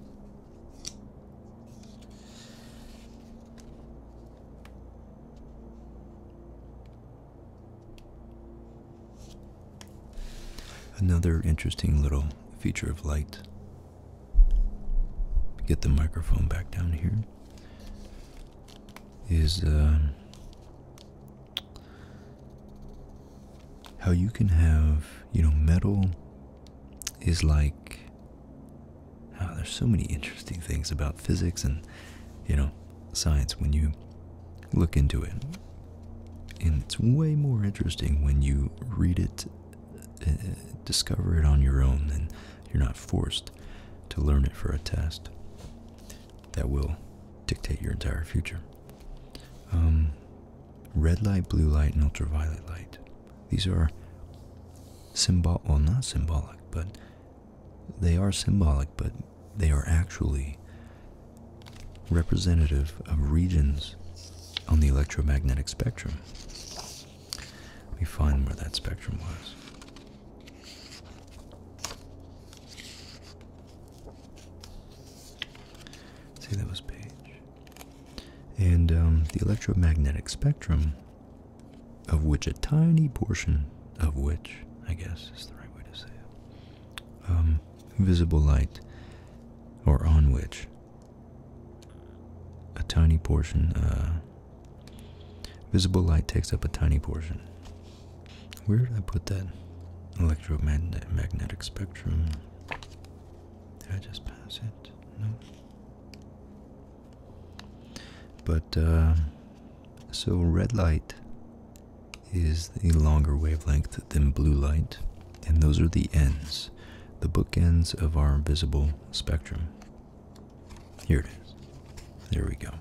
Another interesting little feature of light. Get the microphone back down here. Is um, how you can have, you know, metal is like. Ah, there's so many interesting things about physics and, you know, science when you look into it. And it's way more interesting when you read it, uh, discover it on your own, and you're not forced to learn it for a test that will dictate your entire future. Um, red light, blue light, and ultraviolet light. These are symbol well, not symbolic, but they are symbolic, but they are actually representative of regions on the electromagnetic spectrum. Let find where that spectrum was. See, that was Page. And um, the electromagnetic spectrum, of which a tiny portion, of which, I guess is the right way to say it, um, visible light, or on which a tiny portion, uh, visible light takes up a tiny portion. Where did I put that? Electromagnetic spectrum. Did I just pass it? No. But, uh, so red light is a longer wavelength than blue light, and those are the ends, the bookends of our visible spectrum. Here it is. There we go.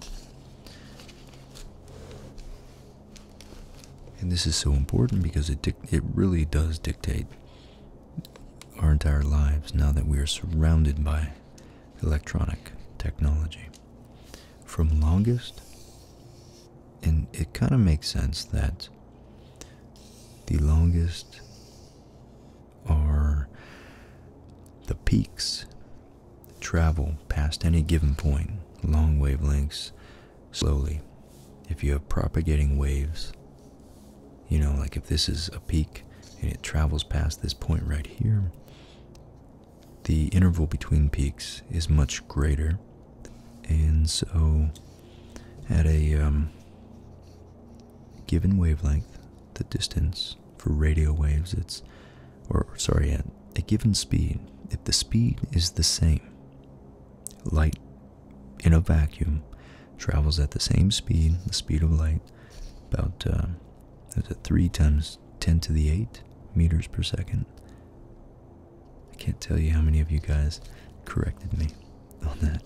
And this is so important because it it really does dictate our entire lives now that we are surrounded by electronic technology. From longest and it kind of makes sense that the longest are the peaks travel past any given point, long wavelengths, slowly. If you have propagating waves, you know, like if this is a peak and it travels past this point right here, the interval between peaks is much greater and so at a um, given wavelength, the distance for radio waves, it's or sorry, at a given speed, if the speed is the same, light in a vacuum travels at the same speed, the speed of light, about uh, three times ten to the eight meters per second. I can't tell you how many of you guys corrected me on that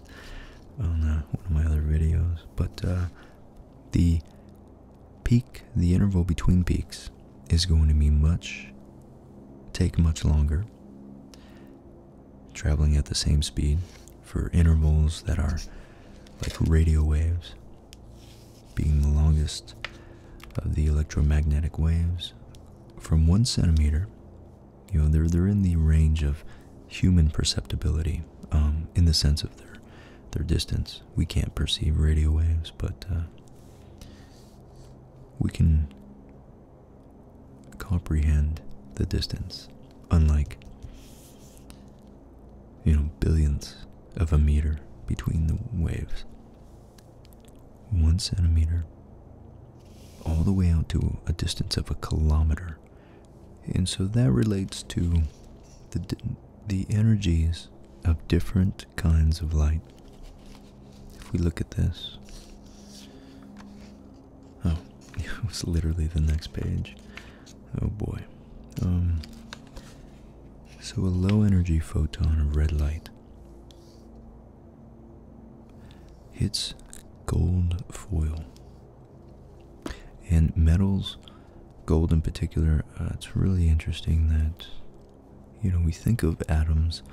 on uh, one of my other videos, but uh, the peak, the interval between peaks, is going to be much, take much longer. Traveling at the same speed for intervals that are like radio waves, being the longest of the electromagnetic waves, from one centimeter, you know, they're they're in the range of human perceptibility, um, in the sense of their their distance. We can't perceive radio waves, but uh, we can comprehend the distance, unlike you know billions of a meter between the waves one centimeter all the way out to a distance of a kilometer. And so that relates to the, the energies of different kinds of light. If we look at this, oh, it was literally the next page. Oh boy. Um, so a low energy photon of red light it's gold foil. And metals, gold in particular, uh, it's really interesting that, you know, we think of atoms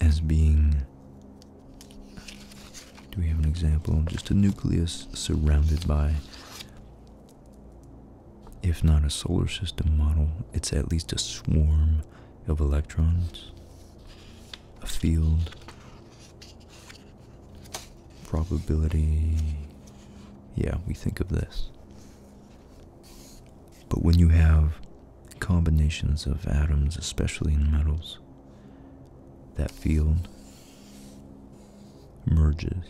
as being. Do we have an example? Just a nucleus surrounded by, if not a solar system model, it's at least a swarm of electrons, a field, probability. Yeah, we think of this. But when you have combinations of atoms, especially in metals, that field merges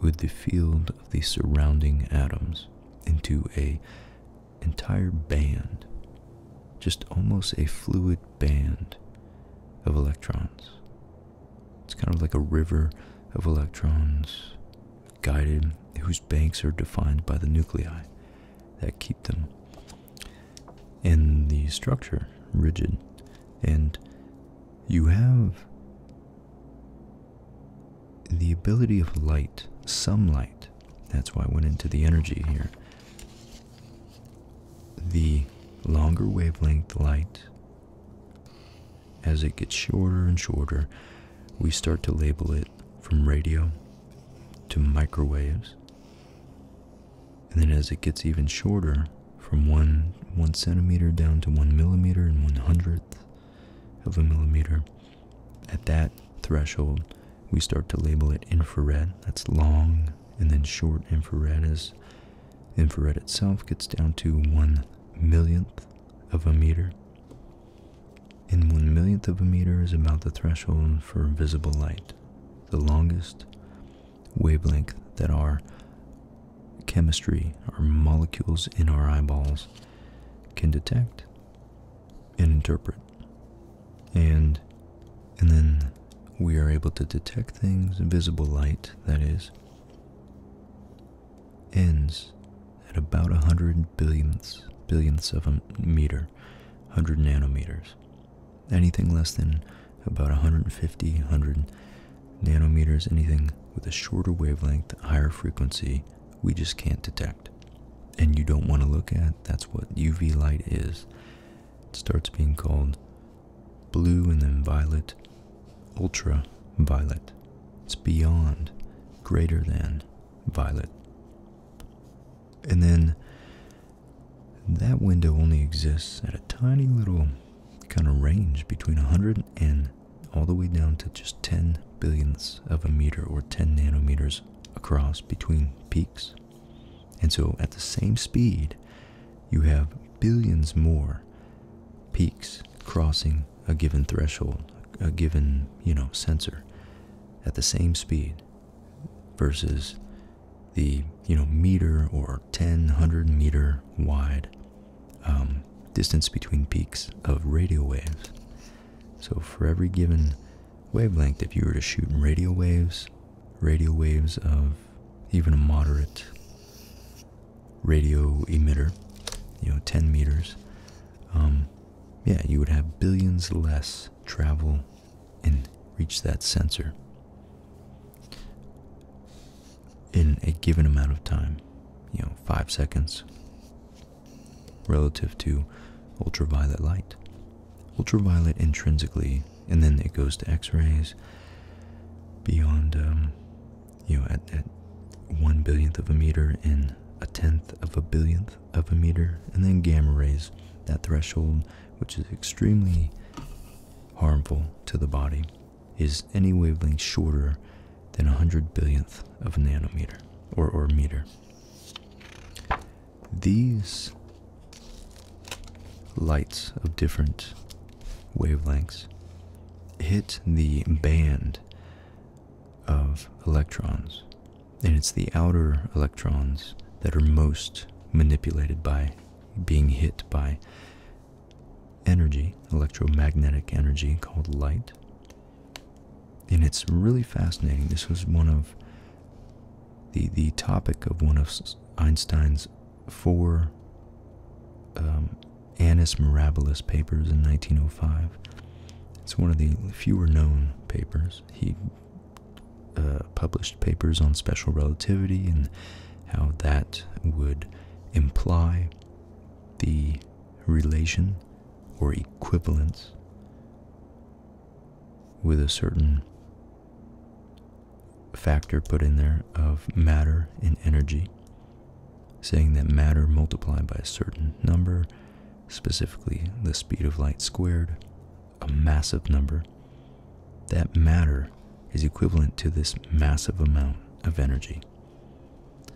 with the field of the surrounding atoms into a entire band, just almost a fluid band of electrons. It's kind of like a river of electrons guided, whose banks are defined by the nuclei that keep them in the structure rigid. And you have the ability of light, some light, that's why I went into the energy here. The longer wavelength light, as it gets shorter and shorter, we start to label it from radio to microwaves. And then as it gets even shorter, from one one centimeter down to one millimeter and one hundredth of a millimeter, at that threshold, we start to label it infrared. That's long, and then short infrared is infrared itself gets down to one millionth of a meter. And one millionth of a meter is about the threshold for visible light. The longest wavelength that our chemistry, our molecules in our eyeballs, can detect and interpret and and then we are able to detect things visible light that is ends at about 100 billionths billionths of a meter 100 nanometers anything less than about 150 100 nanometers anything with a shorter wavelength higher frequency we just can't detect and you don't want to look at, that's what UV light is. It starts being called blue and then violet, ultraviolet. It's beyond, greater than violet. And then that window only exists at a tiny little kind of range between 100 and all the way down to just 10 billionths of a meter or 10 nanometers across between peaks. And so, at the same speed, you have billions more peaks crossing a given threshold, a given, you know, sensor at the same speed versus the, you know, meter or ten hundred meter wide um, distance between peaks of radio waves. So, for every given wavelength if you were to shoot radio waves, radio waves of even a moderate radio emitter, you know, 10 meters, um, yeah, you would have billions less travel and reach that sensor in a given amount of time, you know, five seconds, relative to ultraviolet light. Ultraviolet intrinsically, and then it goes to X-rays beyond, um, you know, at, one billionth of a meter and a tenth of a billionth of a meter, and then gamma rays, that threshold, which is extremely harmful to the body, is any wavelength shorter than a hundred billionth of a nanometer or, or meter these lights of different wavelengths hit the band of electrons, and it's the outer electrons that are most manipulated by being hit by energy, electromagnetic energy called light and it's really fascinating. This was one of the the topic of one of Einstein's four um, Annus Mirabilis papers in 1905. It's one of the fewer known papers. He uh, published papers on special relativity and how that would imply the relation or equivalence with a certain factor put in there of matter and energy, saying that matter multiplied by a certain number, specifically the speed of light squared, a massive number, that matter is equivalent to this massive amount of energy.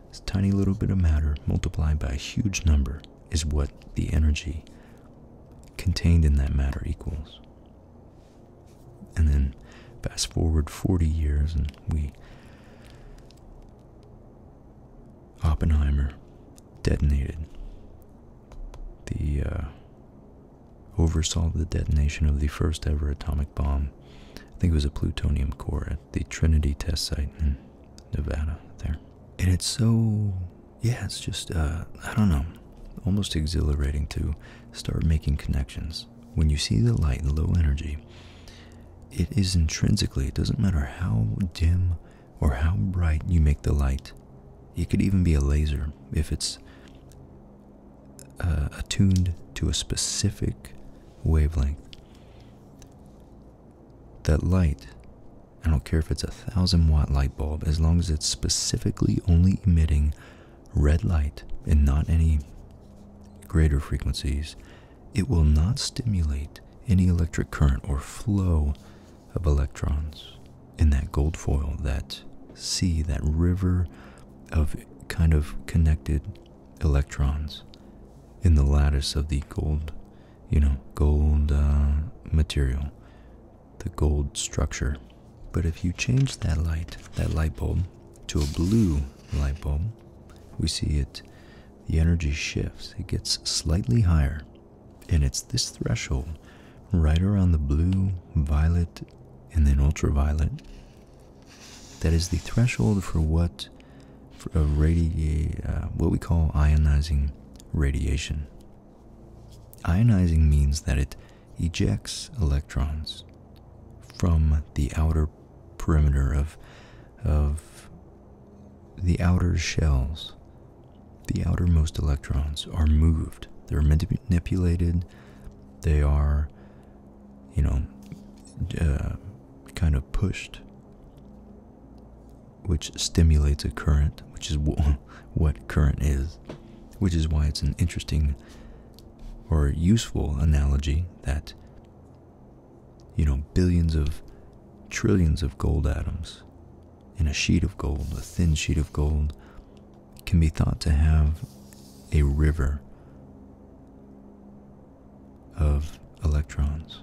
This tiny little bit of matter multiplied by a huge number is what the energy contained in that matter equals. And then fast forward 40 years, and we. Oppenheimer detonated. The. Uh, oversaw the detonation of the first ever atomic bomb. I think it was a plutonium core at the Trinity test site in Nevada there. And it's so yeah, it's just, uh, I don't know, almost exhilarating to start making connections. When you see the light the low energy, it is intrinsically, it doesn't matter how dim or how bright you make the light. It could even be a laser if it's uh, attuned to a specific wavelength. That light I don't care if it's a thousand watt light bulb, as long as it's specifically only emitting red light and not any greater frequencies, it will not stimulate any electric current or flow of electrons in that gold foil, that sea, that river of kind of connected electrons in the lattice of the gold, you know, gold uh, material the gold structure. But if you change that light, that light bulb, to a blue light bulb, we see it, the energy shifts, it gets slightly higher. And it's this threshold right around the blue, violet, and then ultraviolet that is the threshold for what a radi uh, what we call ionizing radiation Ionizing means that it ejects electrons from the outer perimeter of of the outer shells. The outermost electrons are moved. They're manipulated. They are, you know, uh, kind of pushed which stimulates a current, which is what current is, which is why it's an interesting or useful analogy that, you know, billions of trillions of gold atoms in a sheet of gold, a thin sheet of gold, can be thought to have a river of electrons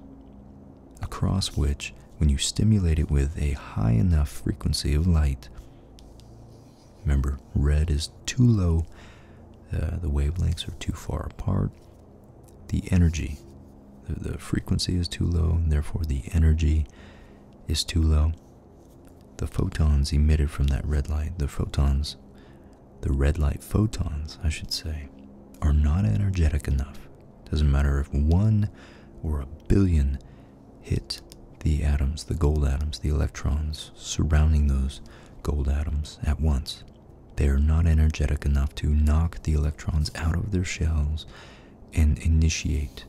across which, when you stimulate it with a high enough frequency of light, remember red is too low, uh, the wavelengths are too far apart, the energy, the, the frequency is too low, and therefore the energy is too low. The photons emitted from that red light, the photons, the red light photons, I should say, are not energetic enough. Doesn't matter if one or a billion hit the atoms, the gold atoms, the electrons surrounding those gold atoms at once. They are not energetic enough to knock the electrons out of their shells and initiate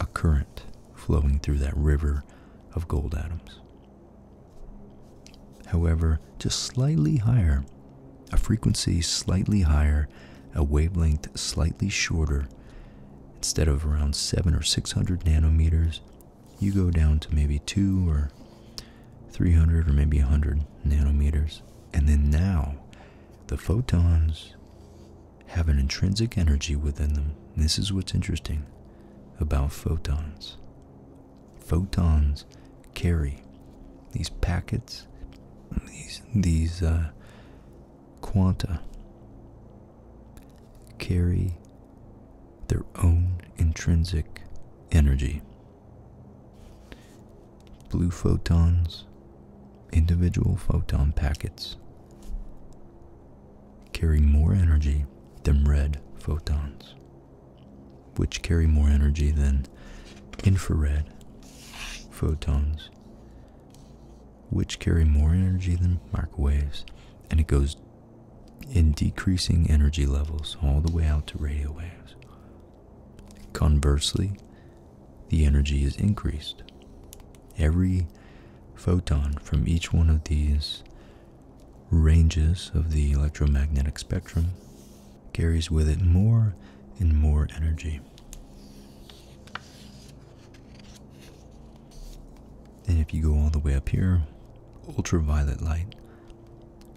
a current flowing through that river of gold atoms. However, just slightly higher, a frequency slightly higher a wavelength slightly shorter, instead of around seven or six hundred nanometers, you go down to maybe two or three hundred or maybe a hundred nanometers. And then now, the photons have an intrinsic energy within them. This is what's interesting about photons. Photons carry these packets, these these uh, quanta carry their own intrinsic energy. Blue photons, individual photon packets, carry more energy than red photons, which carry more energy than infrared photons which carry more energy than microwaves, and it goes in decreasing energy levels all the way out to radio waves. Conversely, the energy is increased. Every photon from each one of these ranges of the electromagnetic spectrum carries with it more and more energy. And if you go all the way up here, ultraviolet light,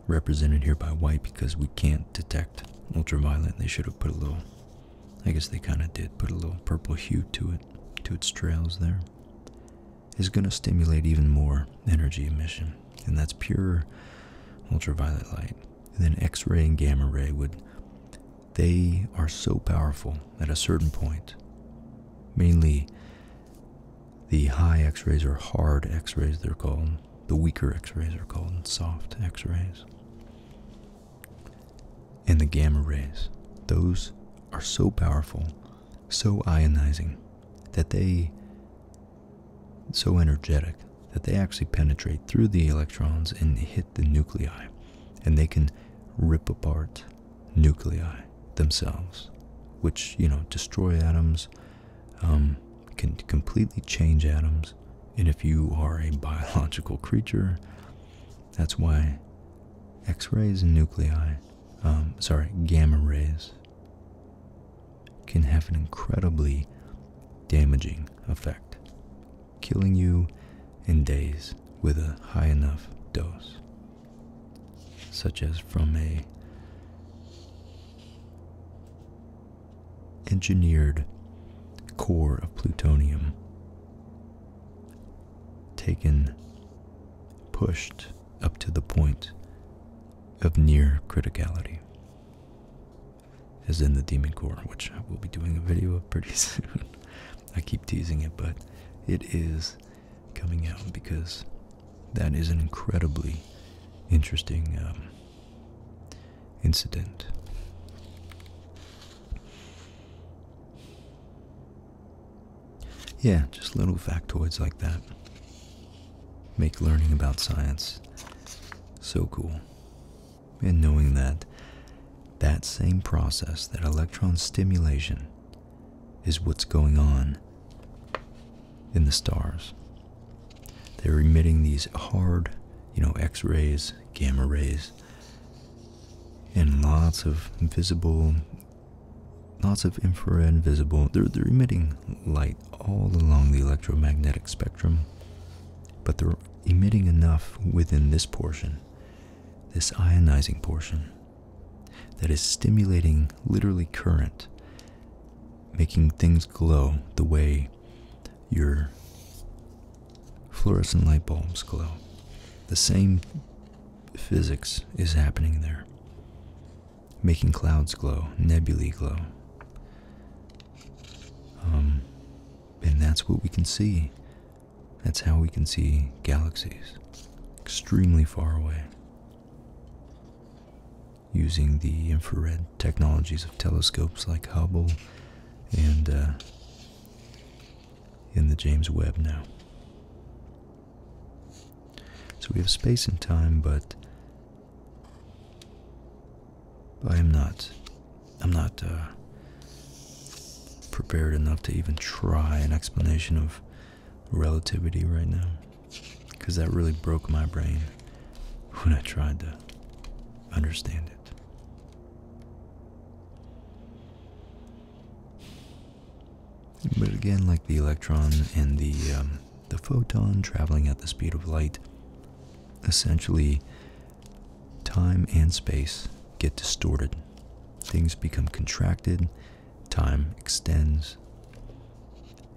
represented here by white because we can't detect ultraviolet. They should have put a little, I guess they kind of did put a little purple hue to it, to its trails there. Is going to stimulate even more energy emission, and that's pure ultraviolet light. then X ray and gamma ray would they are so powerful at a certain point. Mainly, the high x rays or hard x rays, they're called. The weaker x rays are called soft x rays. And the gamma rays, those are so powerful, so ionizing, that they, so energetic, that they actually penetrate through the electrons and hit the nuclei and they can rip apart nuclei themselves, which, you know, destroy atoms, um, can completely change atoms. And if you are a biological creature, that's why X rays and nuclei, um, sorry, gamma rays, can have an incredibly damaging effect killing you in days with a high enough dose, such as from a engineered core of plutonium taken pushed up to the point of near criticality is in the Demon Core, which I will be doing a video of pretty soon. I keep teasing it, but it is coming out because that is an incredibly interesting um, incident. Yeah, just little factoids like that make learning about science so cool and knowing that that same process, that electron stimulation, is what's going on in the stars. They're emitting these hard, you know, X rays, gamma rays, and lots of visible, lots of infrared visible. They're, they're emitting light all along the electromagnetic spectrum, but they're emitting enough within this portion this ionizing portion that is stimulating literally current, making things glow the way your fluorescent light bulbs glow. The same physics is happening there, making clouds glow, nebulae glow. Um, and that's what we can see that's how we can see galaxies extremely far away using the infrared technologies of telescopes like Hubble and uh, in the James Webb now. So we have space and time, but I am not I'm not uh, prepared enough to even try an explanation of relativity right now because that really broke my brain when I tried to understand it. But again, like the electron and the um, the photon traveling at the speed of light, essentially Time and space get distorted. Things become contracted, time extends,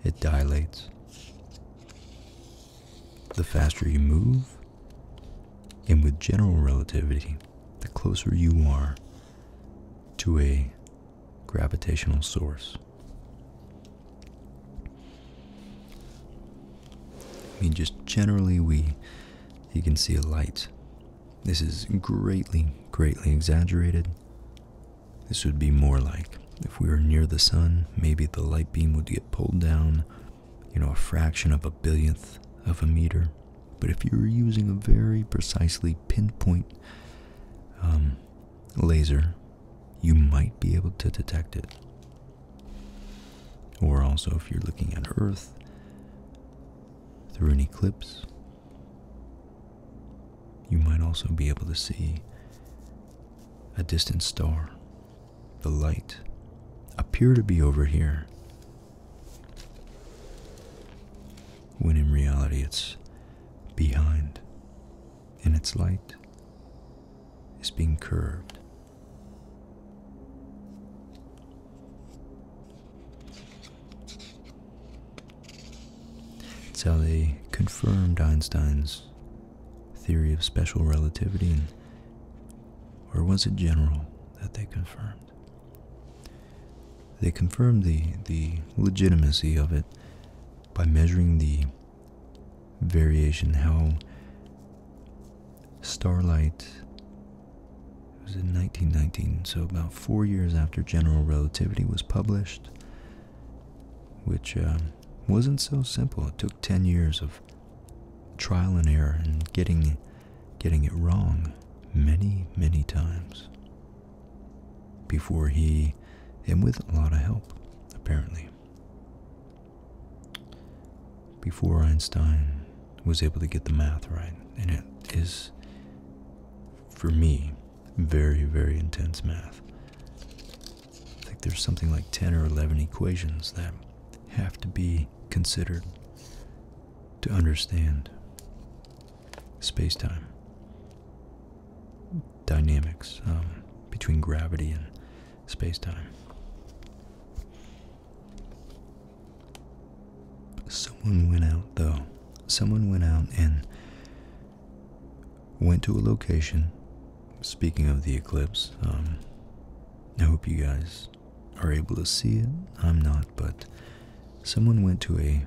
it dilates. The faster you move, and with general relativity, the closer you are to a gravitational source. I mean, just generally, we you can see a light. This is greatly, greatly exaggerated. This would be more like if we were near the sun, maybe the light beam would get pulled down, you know, a fraction of a billionth of a meter. But if you were using a very precisely pinpoint um, laser, you might be able to detect it. Or also, if you're looking at Earth through an eclipse, you might also be able to see a distant star. The light appear to be over here, when in reality it's behind, and its light is being curved so they confirmed Einstein's theory of special relativity, or was it general that they confirmed? They confirmed the, the legitimacy of it by measuring the variation, how Starlight. It was in 1919, so about four years after general relativity was published, which uh, wasn't so simple. It took 10 years of trial and error and getting getting it wrong many, many times before he, and with a lot of help, apparently before Einstein was able to get the math right. And it is, for me, very, very intense math. I think there's something like 10 or 11 equations that have to be considered to understand space time, dynamics um, between gravity and space time. Someone went out though. Someone went out and went to a location. Speaking of the eclipse, um, I hope you guys are able to see it. I'm not, but someone went to a,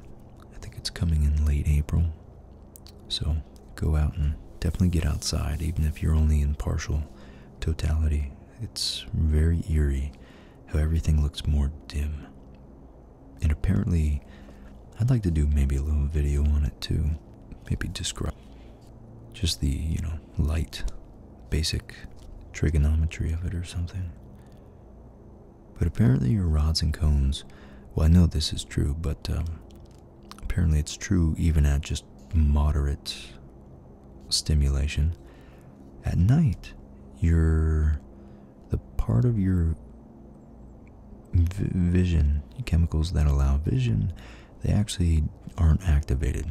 I think it's coming in late April. So go out and definitely get outside, even if you're only in partial totality. It's very eerie how everything looks more dim. And apparently, I'd like to do maybe a little video on it too. Maybe describe just the, you know, light, basic trigonometry of it or something. But apparently, your rods and cones, well, I know this is true, but um, apparently, it's true even at just moderate stimulation at night your the part of your vision chemicals that allow vision they actually aren't activated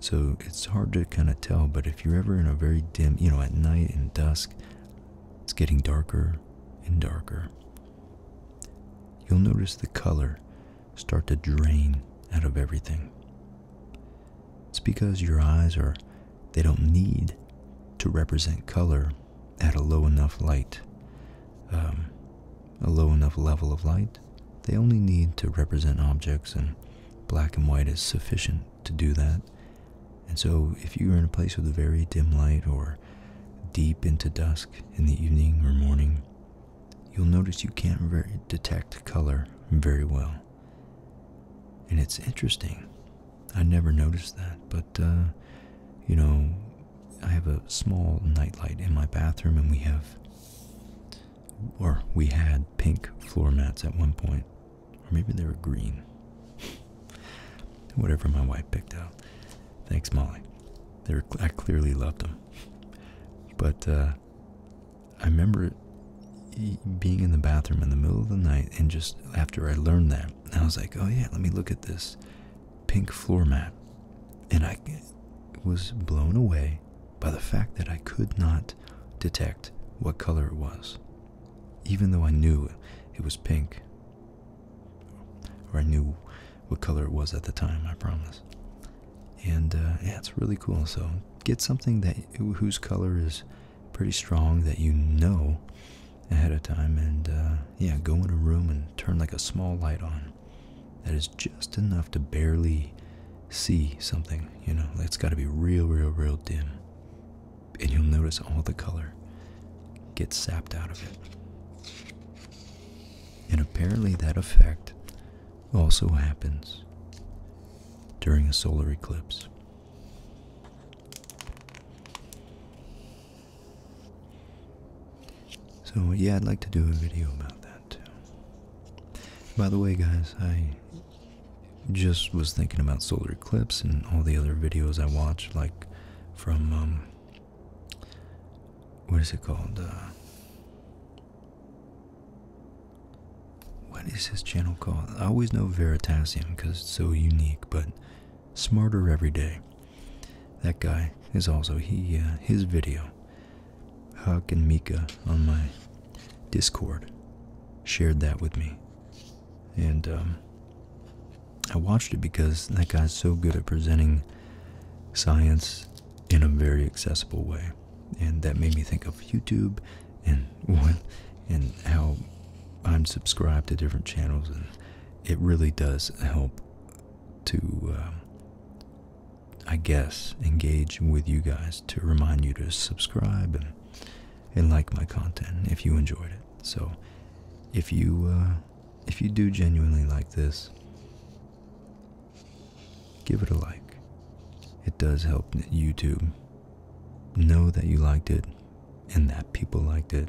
so it's hard to kind of tell but if you're ever in a very dim you know at night and dusk it's getting darker and darker you'll notice the color start to drain out of everything it's because your eyes are, they don't need to represent color at a low enough light, um, a low enough level of light. They only need to represent objects, and black and white is sufficient to do that. And so, if you are in a place with very dim light or deep into dusk in the evening or morning, you'll notice you can't detect color very well. And it's interesting. I never noticed that, but uh, you know, I have a small nightlight in my bathroom, and we have, or we had pink floor mats at one point, or maybe they were green. Whatever my wife picked out. Thanks, Molly. I clearly loved them. But uh, I remember being in the bathroom in the middle of the night, and just after I learned that, I was like, "Oh yeah, let me look at this pink floor mat," and I was blown away by the fact that I could not detect what color it was, even though I knew it was pink, or I knew what color it was at the time. I promise. And uh, yeah, it's really cool. So get something that whose color is pretty strong that you know ahead of time and uh, yeah go in a room and turn like a small light on that is just enough to barely see something you know it's got to be real real real dim and you'll notice all the color gets sapped out of it and apparently that effect also happens during a solar eclipse. So, yeah, I'd like to do a video about that too. By the way, guys, I just was thinking about solar eclipse and all the other videos I watched, like from, um, what is it called? Uh, what is his channel called? I always know Veritasium because it's so unique, but smarter every day. That guy is also he. Uh, his video, Huck and Mika on my Discord, shared that with me, and um, I watched it because that guy's so good at presenting science in a very accessible way and that made me think of YouTube, and and how I'm subscribed to different channels, and it really does help to, um, I guess, engage with you guys to remind you to subscribe and and like my content if you enjoyed it. So, if you uh, if you do genuinely like this. Give it a like. It does help YouTube know that you liked it and that people liked it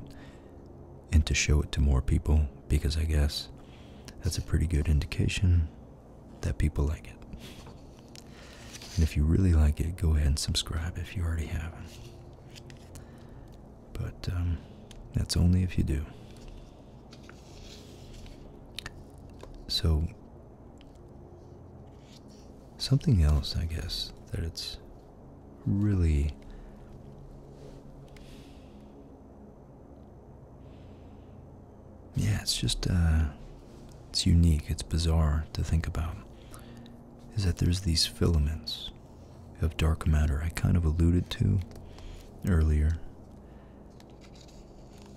and to show it to more people because I guess that's a pretty good indication that people like it. And if you really like it, go ahead and subscribe if you already haven't. But um, that's only if you do. So Something else, I guess, that it's really yeah, it's just uh, it's unique, it's bizarre to think about. Is that there's these filaments of dark matter I kind of alluded to earlier,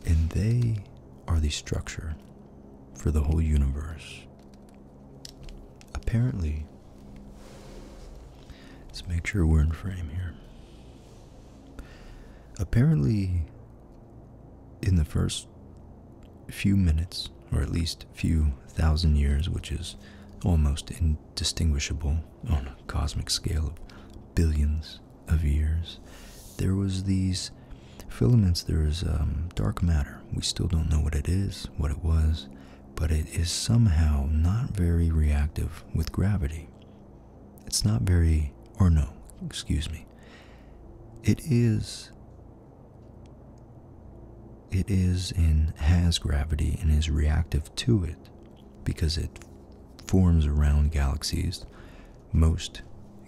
and they are the structure for the whole universe. Apparently, let's make sure we're in frame here. Apparently, in the first few minutes, or at least few thousand years, which is almost indistinguishable on a cosmic scale of billions of years, there was these filaments. There is um, dark matter. We still don't know what it is, what it was, but it is somehow not very reactive with gravity. It's not very, or no, excuse me. It is. It is and has gravity and is reactive to it because it forms around galaxies most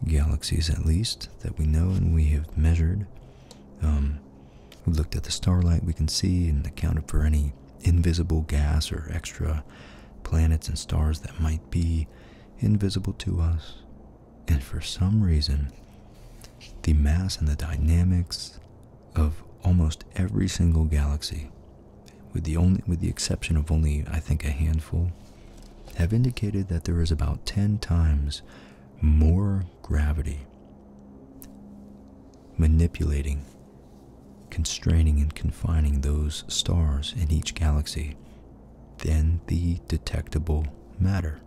galaxies, at least that we know and we have measured. Um, we looked at the starlight we can see and accounted for any invisible gas or extra planets and stars that might be invisible to us. And for some reason, the mass and the dynamics of almost every single galaxy, with the only with the exception of only I think a handful, have indicated that there is about 10 times more gravity manipulating, constraining, and confining those stars in each galaxy than the detectable matter.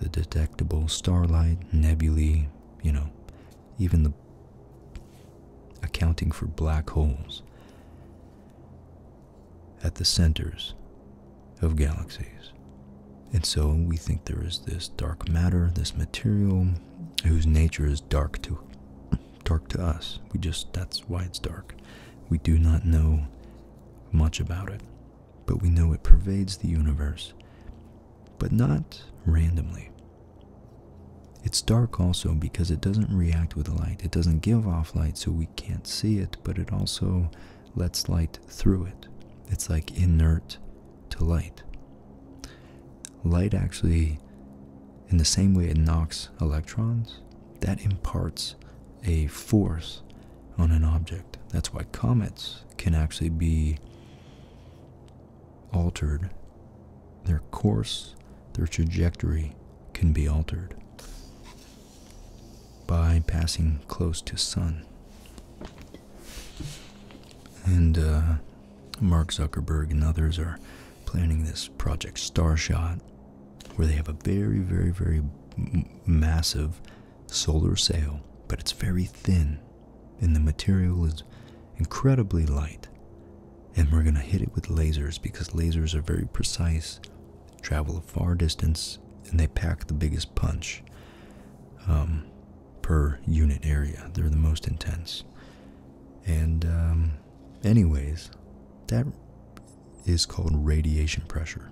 The detectable starlight, nebulae, you know, even the accounting for black holes at the centers of galaxies. And so we think there is this dark matter, this material whose nature is dark to dark to us. We just that's why it's dark. We do not know much about it, but we know it pervades the universe, but not randomly. It's dark also because it doesn't react with light. It doesn't give off light, so we can't see it, but it also lets light through it. It's like inert to light. Light actually, in the same way it knocks electrons, that imparts a force on an object. That's why comets can actually be altered. Their course, their trajectory can be altered by passing close to sun. And uh, Mark Zuckerberg and others are planning this Project Starshot, where they have a very, very, very massive solar sail, but it's very thin, and the material is incredibly light. And we're going to hit it with lasers because lasers are very precise travel a far distance, and they pack the biggest punch um, per unit area. They're the most intense. And, um, anyways, that is called radiation pressure.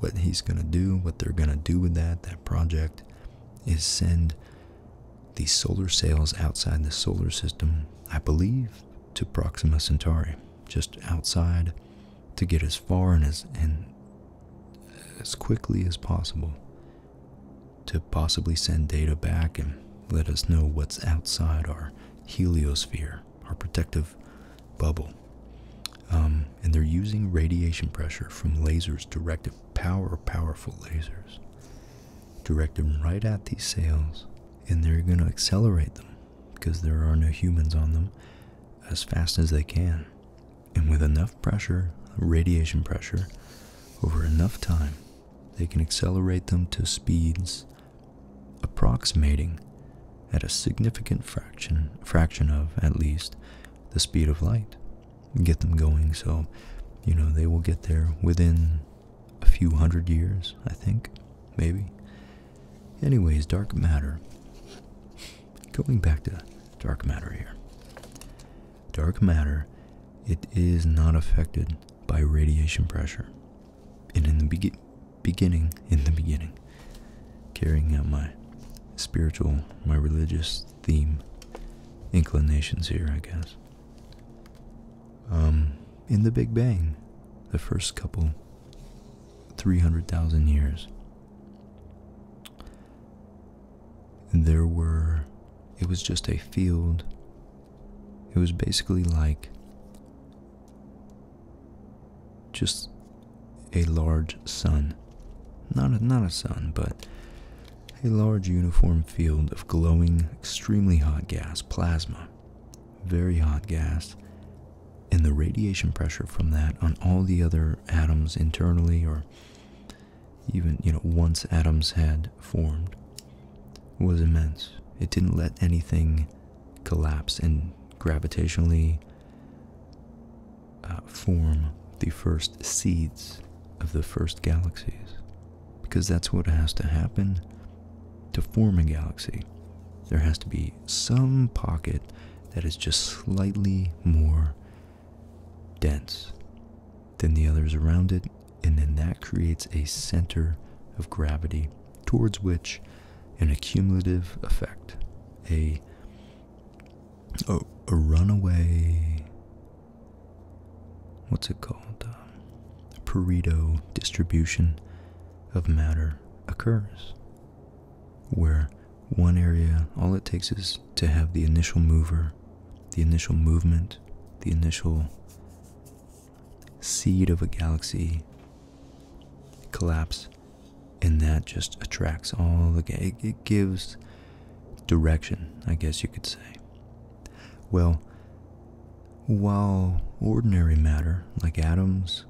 What he's going to do, what they're going to do with that, that project, is send these solar sails outside the solar system, I believe, to Proxima Centauri, just outside to get as far and as as quickly as possible to possibly send data back and let us know what's outside our heliosphere, our protective bubble. Um, and they're using radiation pressure from lasers directed power powerful lasers directed right at these sails and they're going to accelerate them because there are no humans on them as fast as they can. And with enough pressure, radiation pressure, over enough time, they can accelerate them to speeds approximating at a significant fraction fraction of at least the speed of light get them going so you know they will get there within a few hundred years i think maybe Anyways, dark matter. Going back to dark matter here. Dark matter, it is not affected by radiation pressure. And in the be beginning, in the beginning, carrying out my spiritual, my religious theme inclinations here, I guess. Um, in the Big Bang, the first couple 300,000 years there were, it was just a field. It was basically like just a large sun. Not a, not a sun, but a large uniform field of glowing, extremely hot gas, plasma, very hot gas, and the radiation pressure from that on all the other atoms internally or even you know once atoms had formed was immense it didn't let anything collapse and gravitationally uh, form the first seeds of the first galaxies because that's what has to happen to form a galaxy there has to be some pocket that is just slightly more dense than the others around it, and then that creates a center of gravity towards which an accumulative effect, a a, a runaway, what's it called, um, Pareto distribution of matter occurs where one area, all it takes is to have the initial mover, the initial movement, the initial seed of a galaxy collapse, and that just attracts all the. It, it gives direction, I guess you could say. Well, while ordinary matter, like atoms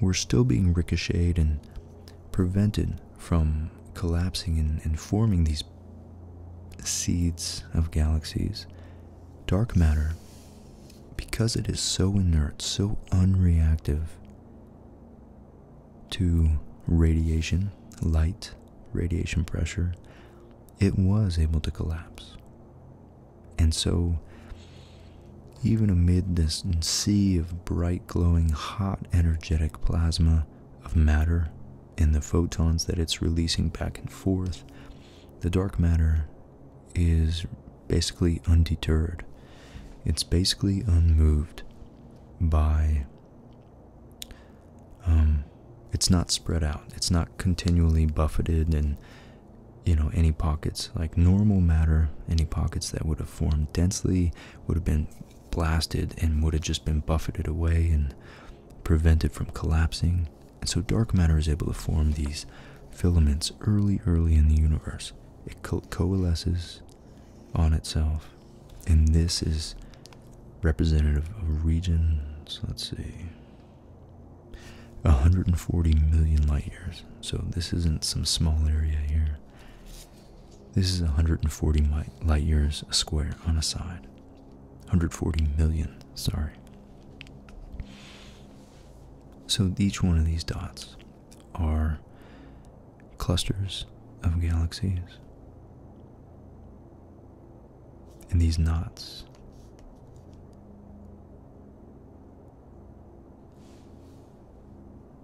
we're still being ricocheted and prevented from collapsing and forming these seeds of galaxies, dark matter, because it is so inert, so unreactive to radiation, light, radiation pressure, it was able to collapse. And so, even amid this sea of bright, glowing, hot, energetic plasma of matter and the photons that it's releasing back and forth, the dark matter is basically undeterred. It's basically unmoved by. Um, it's not spread out. It's not continually buffeted and you know, any pockets, like normal matter, any pockets that would have formed densely would have been blasted and would have just been buffeted away and prevented from collapsing. And so dark matter is able to form these filaments early, early in the universe. It coalesces on itself. And this is representative of regions, let's see. 140 million light years. So this isn't some small area here. This is 140 light years a square on a side. 140 million, sorry. So each one of these dots are clusters of galaxies. And these knots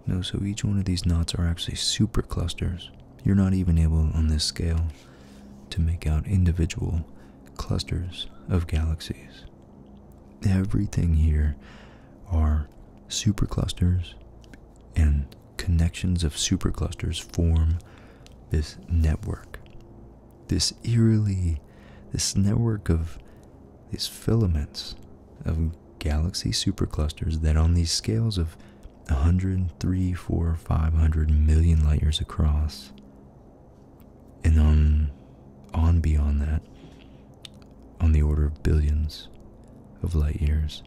no, so each one of these knots are actually super clusters. You're not even able on this scale to make out individual clusters of galaxies. Everything here are super clusters, and connections of super clusters form this network. This eerily, this network of these filaments of galaxy superclusters that on these scales of 103, 4, 500 million light years across, and on, on beyond that, on the order of billions of light years,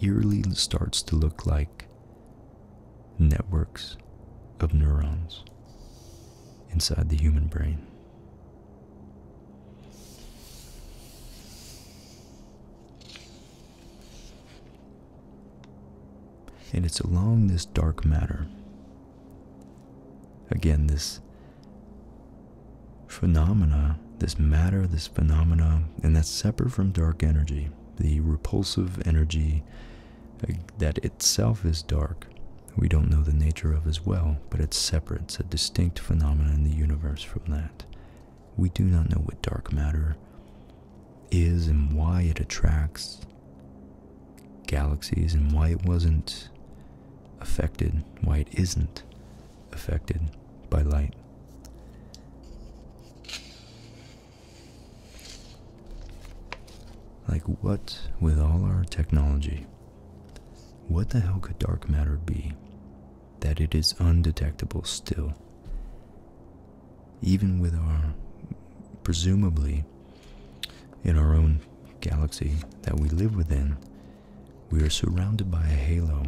eerily starts to look like networks of neurons inside the human brain. And it's along this dark matter, again, this phenomena, this matter, this phenomena, and that's separate from dark energy, the repulsive energy uh, that itself is dark, we don't know the nature of as well, but it's separate; it's a distinct phenomenon in the universe from that. We do not know what dark matter is and why it attracts galaxies and why it wasn't affected, why it isn't affected by light. Like, what with all our technology, what the hell could dark matter be? That it is undetectable still. Even with our, presumably, in our own galaxy that we live within, we are surrounded by a halo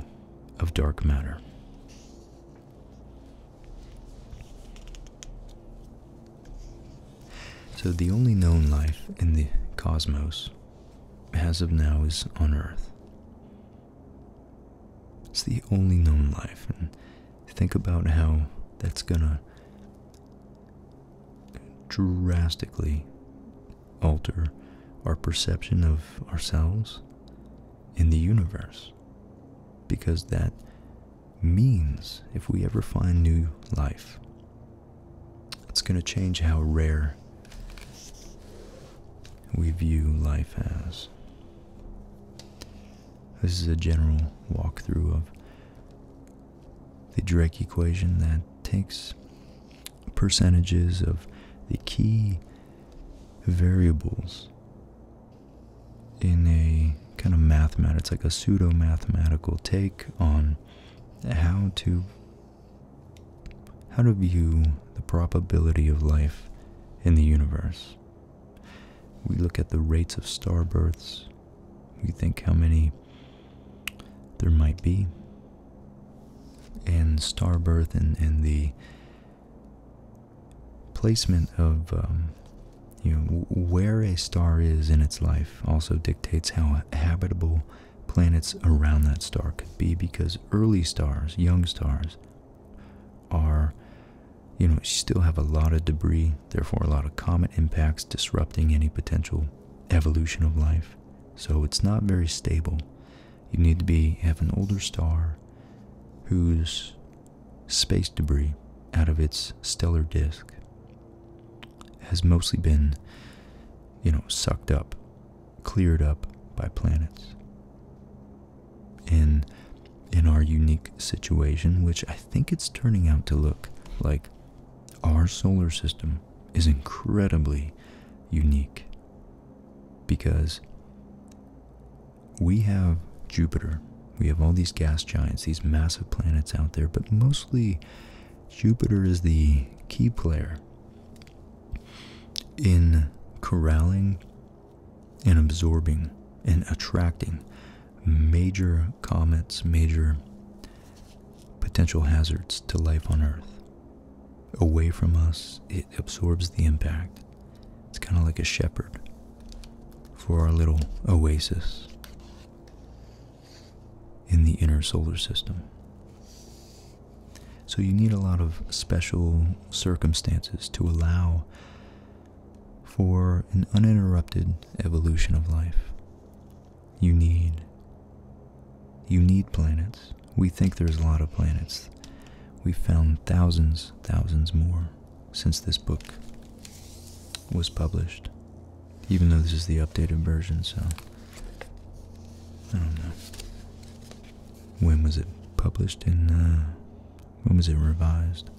of dark matter. So, the only known life in the cosmos as of now is on Earth. It's the only known life, and think about how that's gonna drastically alter our perception of ourselves in the universe. Because that means if we ever find new life it's going to change how rare we view life as. This is a general walkthrough of the Drake equation that takes percentages of the key variables in a kind of mathematics, like a pseudo mathematical take on how to how to view the probability of life in the universe. We look at the rates of star births, we think how many there might be, and star birth and, the placement of, um, you know, where a star is in its life also dictates how habitable planets around that star could be because early stars, young stars, are, you know, still have a lot of debris, therefore, a lot of comet impacts disrupting any potential evolution of life. So it's not very stable. You need to be have an older star whose space debris out of its stellar disk has mostly been you know, sucked up, cleared up by planets. In in our unique situation, which I think it's turning out to look like our solar system is incredibly unique because we have Jupiter, we have all these gas giants, these massive planets out there, but mostly Jupiter is the key player in corralling and absorbing and attracting major comets, major potential hazards to life on Earth. Away from us, it absorbs the impact. It's kind of like a shepherd for our little oasis in the inner solar system. So you need a lot of special circumstances to allow for an uninterrupted evolution of life. You need you need planets. We think there's a lot of planets. we found thousands, thousands more since this book was published even though this is the updated version, so I don't know. When was it published and uh, when was it revised?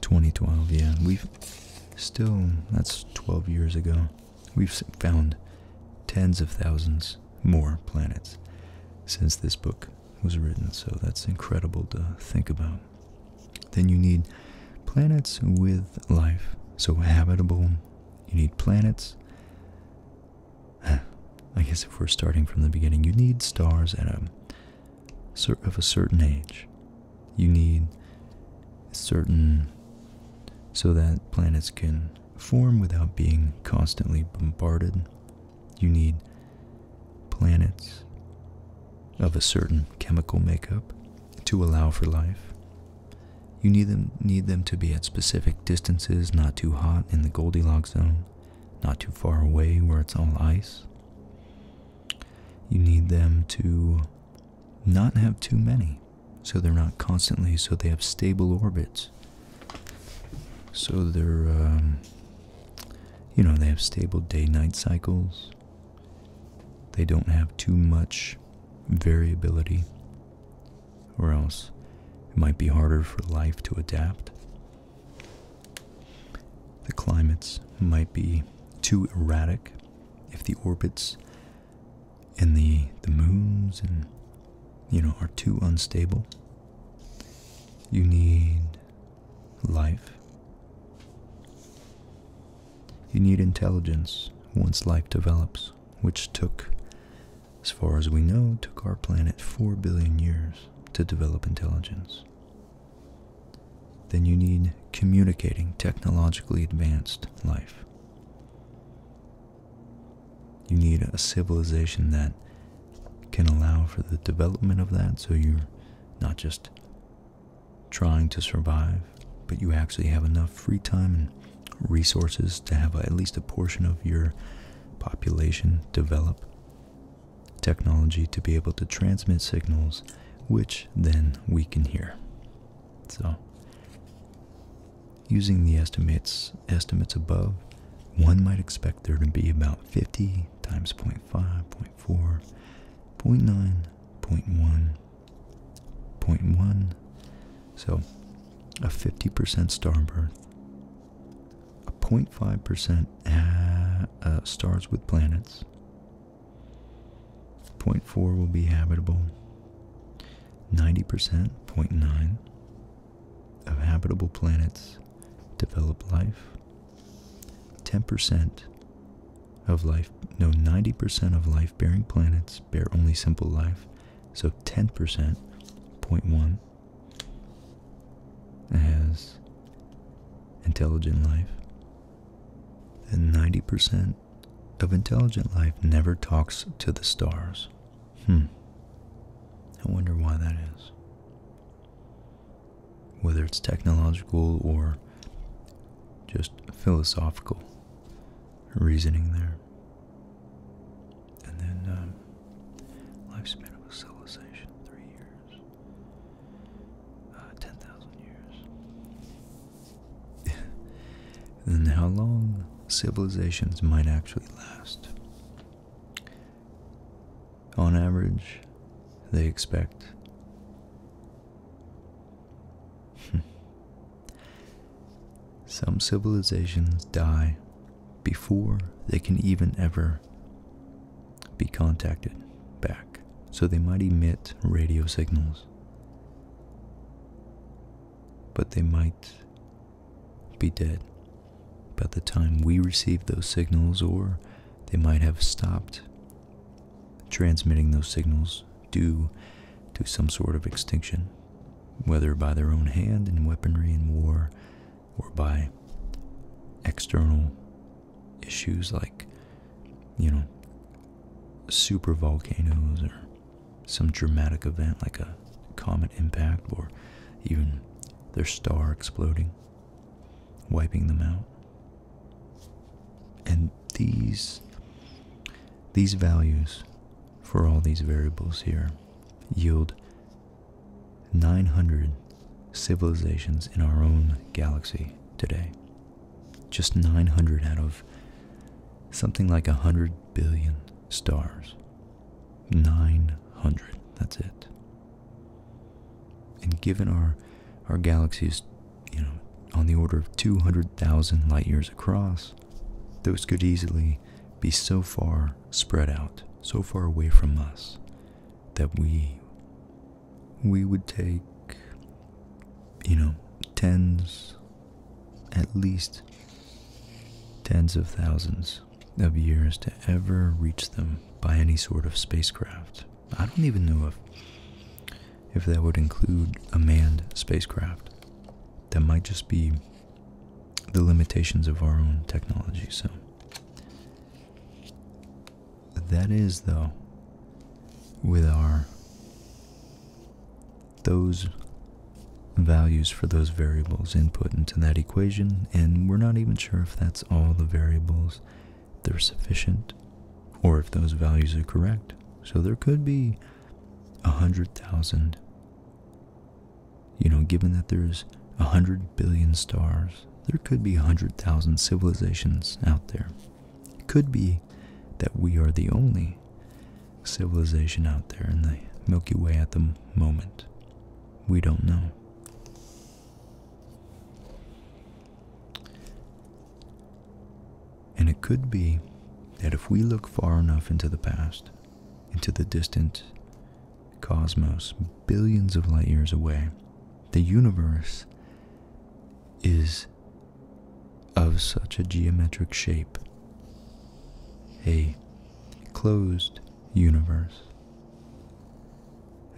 Twenty twelve, yeah. We've still that's twelve years ago. We've found tens of thousands more planets since this book was written, so that's incredible to think about. Then you need planets with life, so habitable. You need planets. I guess if we're starting from the beginning, you need stars at a of a certain age. You need certain so that planets can form without being constantly bombarded. You need planets of a certain chemical makeup to allow for life. You need them, need them to be at specific distances, not too hot in the Goldilocks zone, not too far away where it's all ice. You need them to not have too many so they're not constantly, so they have stable orbits. So they're, um, you know, they have stable day night cycles. They don't have too much variability, or else it might be harder for life to adapt. The climates might be too erratic if the orbits and the the moons and you know are too unstable. You need life. You need intelligence once life develops, which took, as far as we know, took our planet 4 billion years to develop intelligence. Then you need communicating, technologically advanced life. You need a civilization that can allow for the development of that so you're not just trying to survive, but you actually have enough free time and resources to have at least a portion of your population develop technology to be able to transmit signals, which then we can hear. So, Using the estimates estimates above, one might expect there to be about 50 times 0 0.5, 0.4, 0.9, 0.1, 0.1. So a 50% star birth, a 0.5% uh, uh stars with planets, 0.4 will be habitable, 90%, 0.9, of habitable planets develop life. 10% of life, no, 90% of life bearing planets bear only simple life. So 10%, 0.1, has intelligent life. And 90% of intelligent life never talks to the stars. Hmm. I wonder why that is. Whether it's technological or just philosophical reasoning there. And then, um, lifespan of civilization, three years, uh, 10,000 years. than how long civilizations might actually last. On average, they expect some civilizations die before they can even ever be contacted back, so they might emit radio signals but they might be dead by the time we receive those signals, or they might have stopped transmitting those signals due to some sort of extinction, whether by their own hand in weaponry and war, or by external issues like, you know, super volcanoes or some dramatic event like a comet impact or even their star exploding, wiping them out. And these these values for all these variables here yield 900 civilizations in our own galaxy today. Just 900 out of something like 100 billion stars. 900, that's it. And given our, our galaxy is, you know, on the order of 200,000 light years across, those could easily be so far spread out, so far away from us, that we, we would take, you know, tens, at least tens of thousands of years to ever reach them by any sort of spacecraft. I don't even know if if that would include a manned spacecraft. That might just be the limitations of our own technology. So that is though with our those values for those variables input into that equation, and we're not even sure if that's all the variables, they're sufficient, or if those values are correct. So there could be a hundred thousand. You know, given that there's a hundred billion stars, there could be a hundred thousand civilizations out there. It could be that we are the only civilization out there in the Milky Way at the moment. We don't know. And it could be that if we look far enough into the past, into the distant cosmos, billions of light years away, the universe is of such a geometric shape, a closed universe.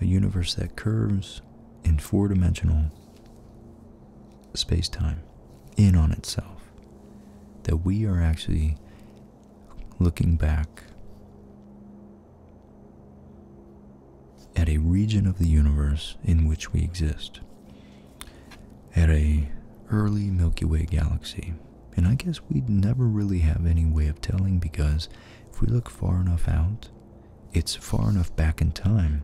A universe that curves in four dimensional space time in on itself. That we are actually looking back at a region of the universe in which we exist, at a early Milky Way galaxy and I guess we'd never really have any way of telling because if we look far enough out, it's far enough back in time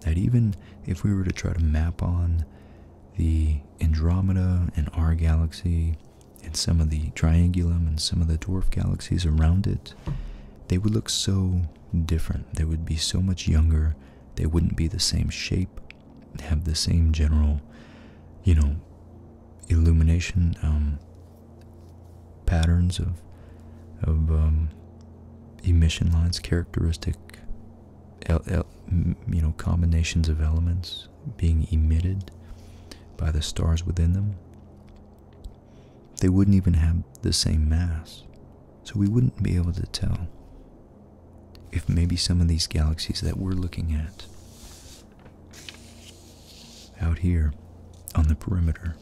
that even if we were to try to map on the Andromeda and our galaxy and some of the Triangulum and some of the dwarf galaxies around it, they would look so different. They would be so much younger. They wouldn't be the same shape have the same general, you know, illumination um, patterns of of um, emission lines, characteristic, you know, combinations of elements being emitted by the stars within them. They wouldn't even have the same mass, so we wouldn't be able to tell if maybe some of these galaxies that we're looking at out here on the perimeter,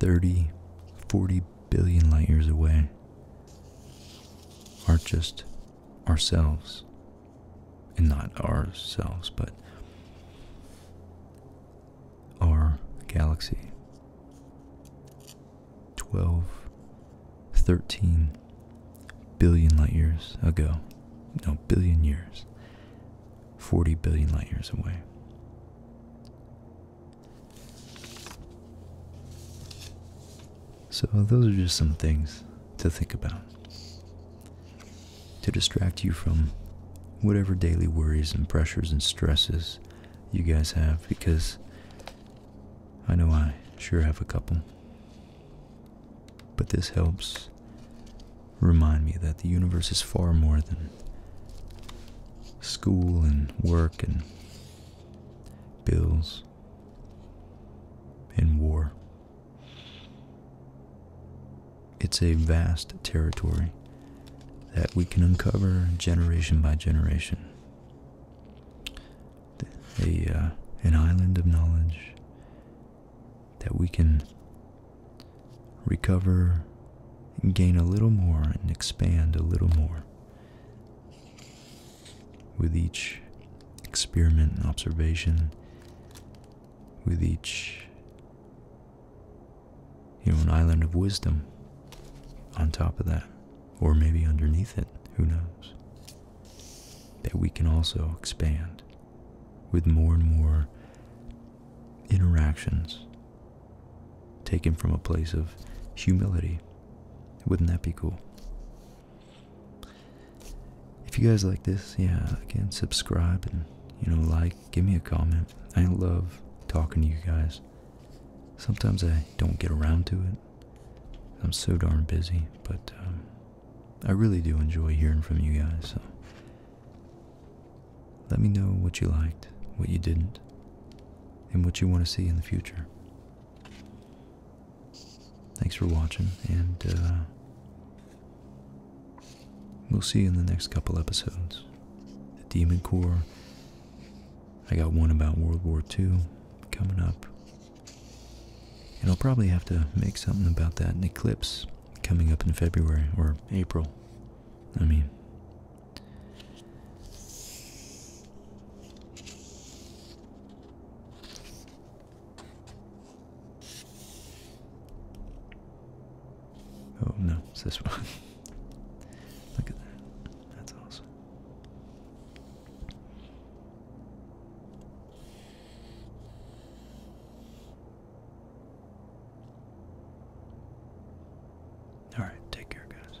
30, 40 billion light years away, are just ourselves. And not ourselves, but our galaxy. 12 13 billion light years ago. No, billion years. 40 billion light years away. So, those are just some things to think about to distract you from whatever daily worries and pressures and stresses you guys have because I know I sure have a couple. But this helps remind me that the universe is far more than school and work and bills and war. It's a vast territory that we can uncover generation by generation a uh, an island of knowledge that we can recover, gain a little more, and expand a little more with each experiment and observation, with each you know an island of wisdom on top of that, or maybe underneath it. Who knows? that we can also expand with more and more interactions taken from a place of humility. Wouldn't that be cool? If you guys like this, yeah, again, subscribe and, you know, like, give me a comment. I love talking to you guys. Sometimes I don't get around to it. I'm so darn busy, but um, I really do enjoy hearing from you guys, so let me know what you liked, what you didn't, and what you want to see in the future. Thanks for watching, and uh, we'll see you in the next couple episodes. The Demon Core. I got one about World War II coming up. And I'll probably have to make something about that eclipse coming up in February or April. I mean, oh no, it's this one. Look at that. That's awesome. All right, take care, guys.